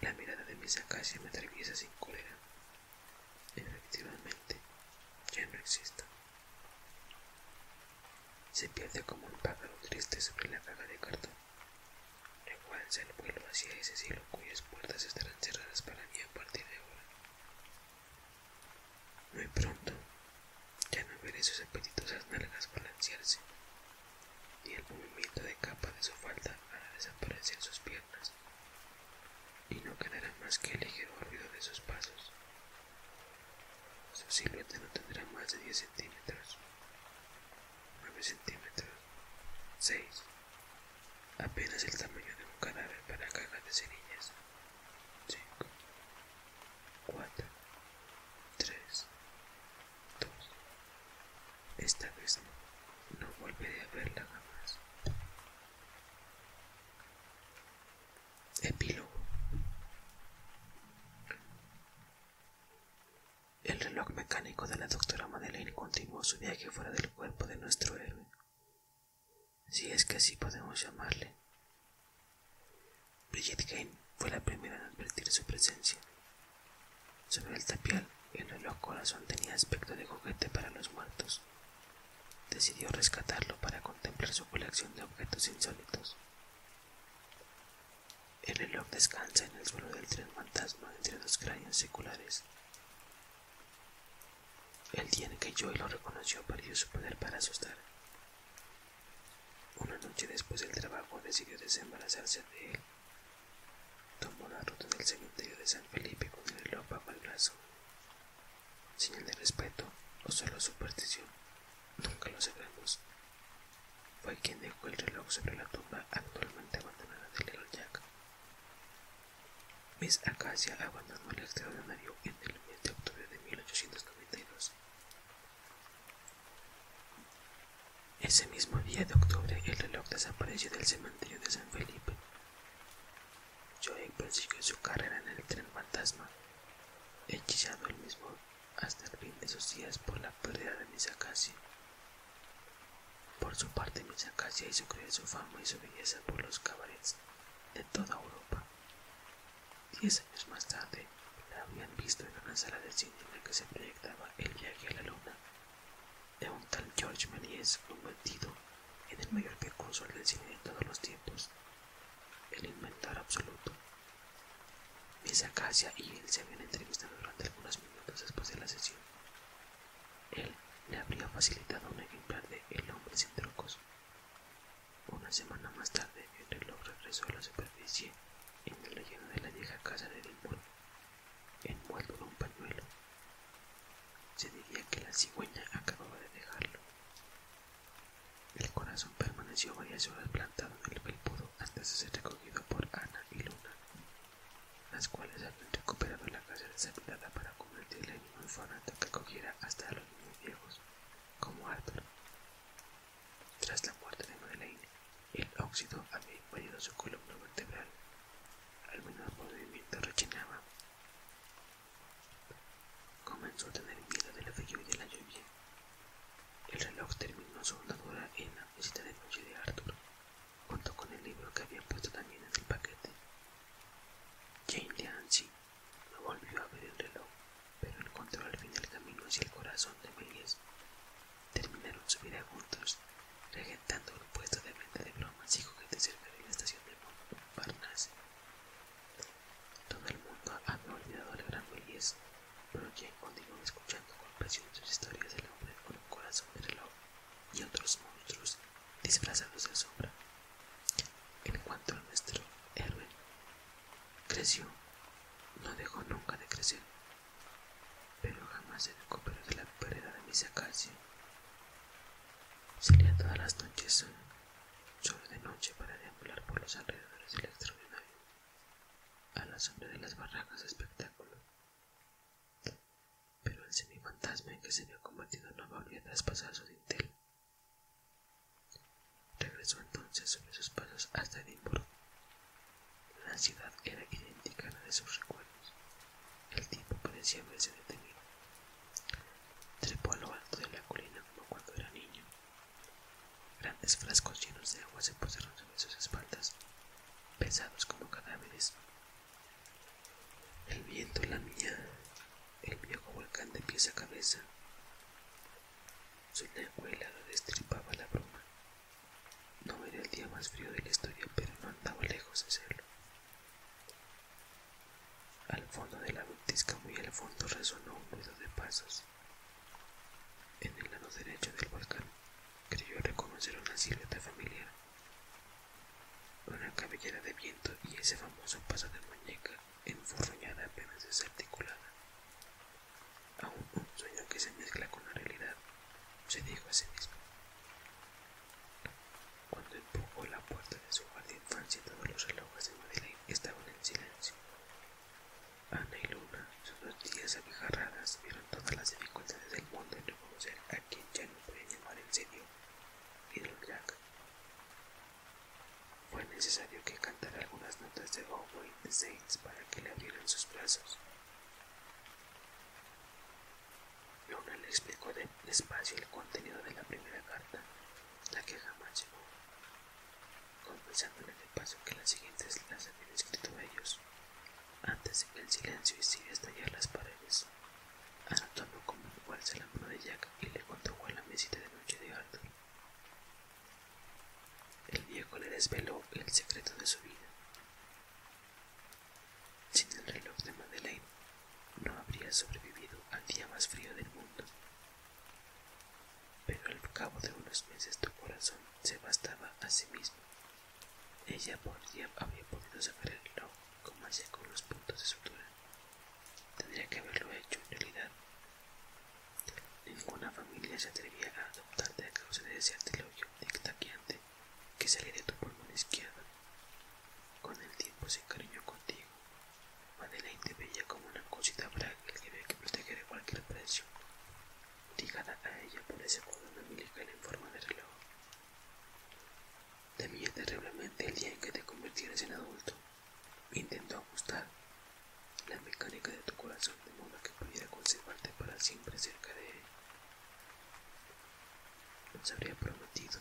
La mirada de mis se me atraviesa sin cólera. Efectivamente, ya no existo. Se pierde como un pájaro triste sobre la caga de cartón. Recuérdense el vuelo hacia ese cielo cuyas puertas estarán cerradas para mí a partir de ahora. Muy pronto ya no veré sus apetitosas nalgas balancearse, y el movimiento de capa de su falda hará desaparecer sus piernas, y no quedará más que el ligero ruido de sus pasos. Su silueta no tendrá más de 10 centímetros, 9 centímetros, 6, apenas el tamaño de un cadáver para cajas de cerillas, 5, 4, 3, 2. Esta vez no volveré a verla jamás. Epílogo. El reloj mecánico de la doctora Madeleine continuó su viaje fuera del cuerpo de nuestro héroe, si es que así podemos llamarle. Bridget Kane fue la primera en advertir su presencia. Sobre el tapial, el reloj corazón tenía aspecto de juguete para los muertos. Decidió rescatarlo para contemplar su colección de objetos insólitos. El reloj descansa en el suelo del tren fantasma entre dos cráneos seculares. El día en que Joey lo reconoció perdió su poder para asustar. Una noche después del trabajo decidió desembarazarse de él. Tomó la ruta del cementerio de San Felipe con el reloj a el brazo. Señal de respeto o solo superstición. Nunca lo sabemos. Fue quien dejó el reloj sobre la tumba actualmente abandonada de Little Jack. Miss Acacia abandonó el extraordinario en el mes de octubre de 1892. Ese mismo día de octubre, el reloj desapareció del cementerio de San Felipe. Joey persiguió su carrera en el tren fantasma, hechizado el mismo hasta el fin de sus días por la pérdida de Misakasi. Por su parte, Misakasi hizo creer su fama y su belleza por los cabarets de toda Europa. Diez años más tarde, la habían visto en una sala de cine en la que se proyectaba El viaje a la luna, de un tal George un convertido en el mayor precursor del cine de todos los tiempos, el inventor absoluto. Miss Acacia y él se habían entrevistado durante algunos minutos después de la sesión. Él le habría facilitado un ejemplar de El hombre sin trucos. Una semana más tarde, el reloj regresó a la superficie en el relleno de la vieja casa de Edimburgo, envuelto en un pañuelo. Se diría que la cigüeña acababa de dejarlo. El corazón permaneció varias horas plantado en el antes de ser recogido por Ana y Luna, las cuales habían recuperado la casa deshabitada para convertirla en un hasta que cogiera hasta a los niños viejos, como Arthur. Tras la muerte de Madeleine, el óxido había invadido su columna vertebral. Al el movimiento rechinaba. Comenzó a tener miedo del frío y de la lluvia. El reloj terminó su andadura en la visita de noche de Arthur, junto con el libro que había puesto también en el paquete. Jane de no volvió a ver el reloj, pero encontró al fin el camino hacia el corazón de Melies. Terminaron su vida juntos, regentando el puesto de venta de bromas y juguetes cerca de la estación de Montparnasse. Todo el mundo ha olvidado la gran belleza, pero quien continuó escuchando con pasión sus historias del hombre con un corazón de reloj y otros monstruos disfrazados de sombra. En cuanto a nuestro héroe, creció, no dejó nunca de crecer, pero jamás se recuperó de la pérdida de mis Se Salía todas las noches, solo de noche, para deambular por los alrededores del extraordinario a la sombra de las barracas espectáculo. Pero el semifantasma en que se había combatido no volvió a traspasar su dintel. Regresó entonces sobre sus pasos hasta Edimburgo. La ciudad era idéntica a la de sus recuerdos. El tiempo parecía haberse detenido. Trepó a lo alto de la colina como cuando era niño Grandes frascos llenos de agua se posaron sobre sus espaldas, pesados como cadáveres. El viento lamía el viejo volcán de pies a cabeza. Su lengua helada destripaba la bruma. No era el día más frío de la historia, pero no andaba lejos de hacerlo Al fondo de la montaña, muy al fondo, resonó un ruido de pasos. En el lado derecho del volcán creyó reconocer una silueta familiar, una cabellera de viento y ese famoso paso de muñeca enfurruñada apenas desarticulada. Aún un sueño que se mezcla con la realidad, se dijo a sí mismo. Cuando empujó la puerta de su guardia infancia, todos los relojes de Madeleine estaban en silencio. Ana y Luna, sus dos días abijarradas, vieron todas las dificultades del mundo en reconocer a quien ya no podían llamar en serio Fue necesario que cantara algunas notas de Oh y para que le abrieran sus brazos. Luna le explicó despacio el contenido de la primera carta, la que jamás llegó, confesándole el paso que las siguientes las habían escrito a ellos, antes en el silencio y estallar las paredes. anotando como igual se la mano de Jack y le contó la mesita de noche de Arthur. El viejo le desveló el secreto de su vida. Sin el reloj de Madeleine, no habría sobrevivido al día más frío del mundo. Pero al cabo de unos meses tu corazón se bastaba a sí mismo. Ella por podría, había podido saberlo como hacía con los puntos de sutura. Tendría que haberlo hecho en realidad. Ninguna familia se atrevía a adoptarte a causa de ese artilogio dictaqueante que salía de tu pulmón izquierdo. Con el tiempo se encariñó contigo. Madeleine te veía como una cosita frágil que había que proteger cualquier precio ligada a ella por ese cordón angelical en forma de reloj. Temía terriblemente el día en que te convirtieras en adulto. Intento ajustar la mecánica de tu corazón de modo que pudiera conservarte para siempre cerca de él. Nos habría prometido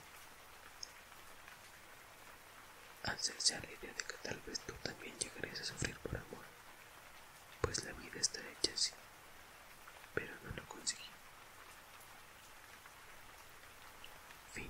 hacerse a de que tal vez tú también llegarías a sufrir por amor pues la vida está hecha así, pero no lo conseguí. Fin.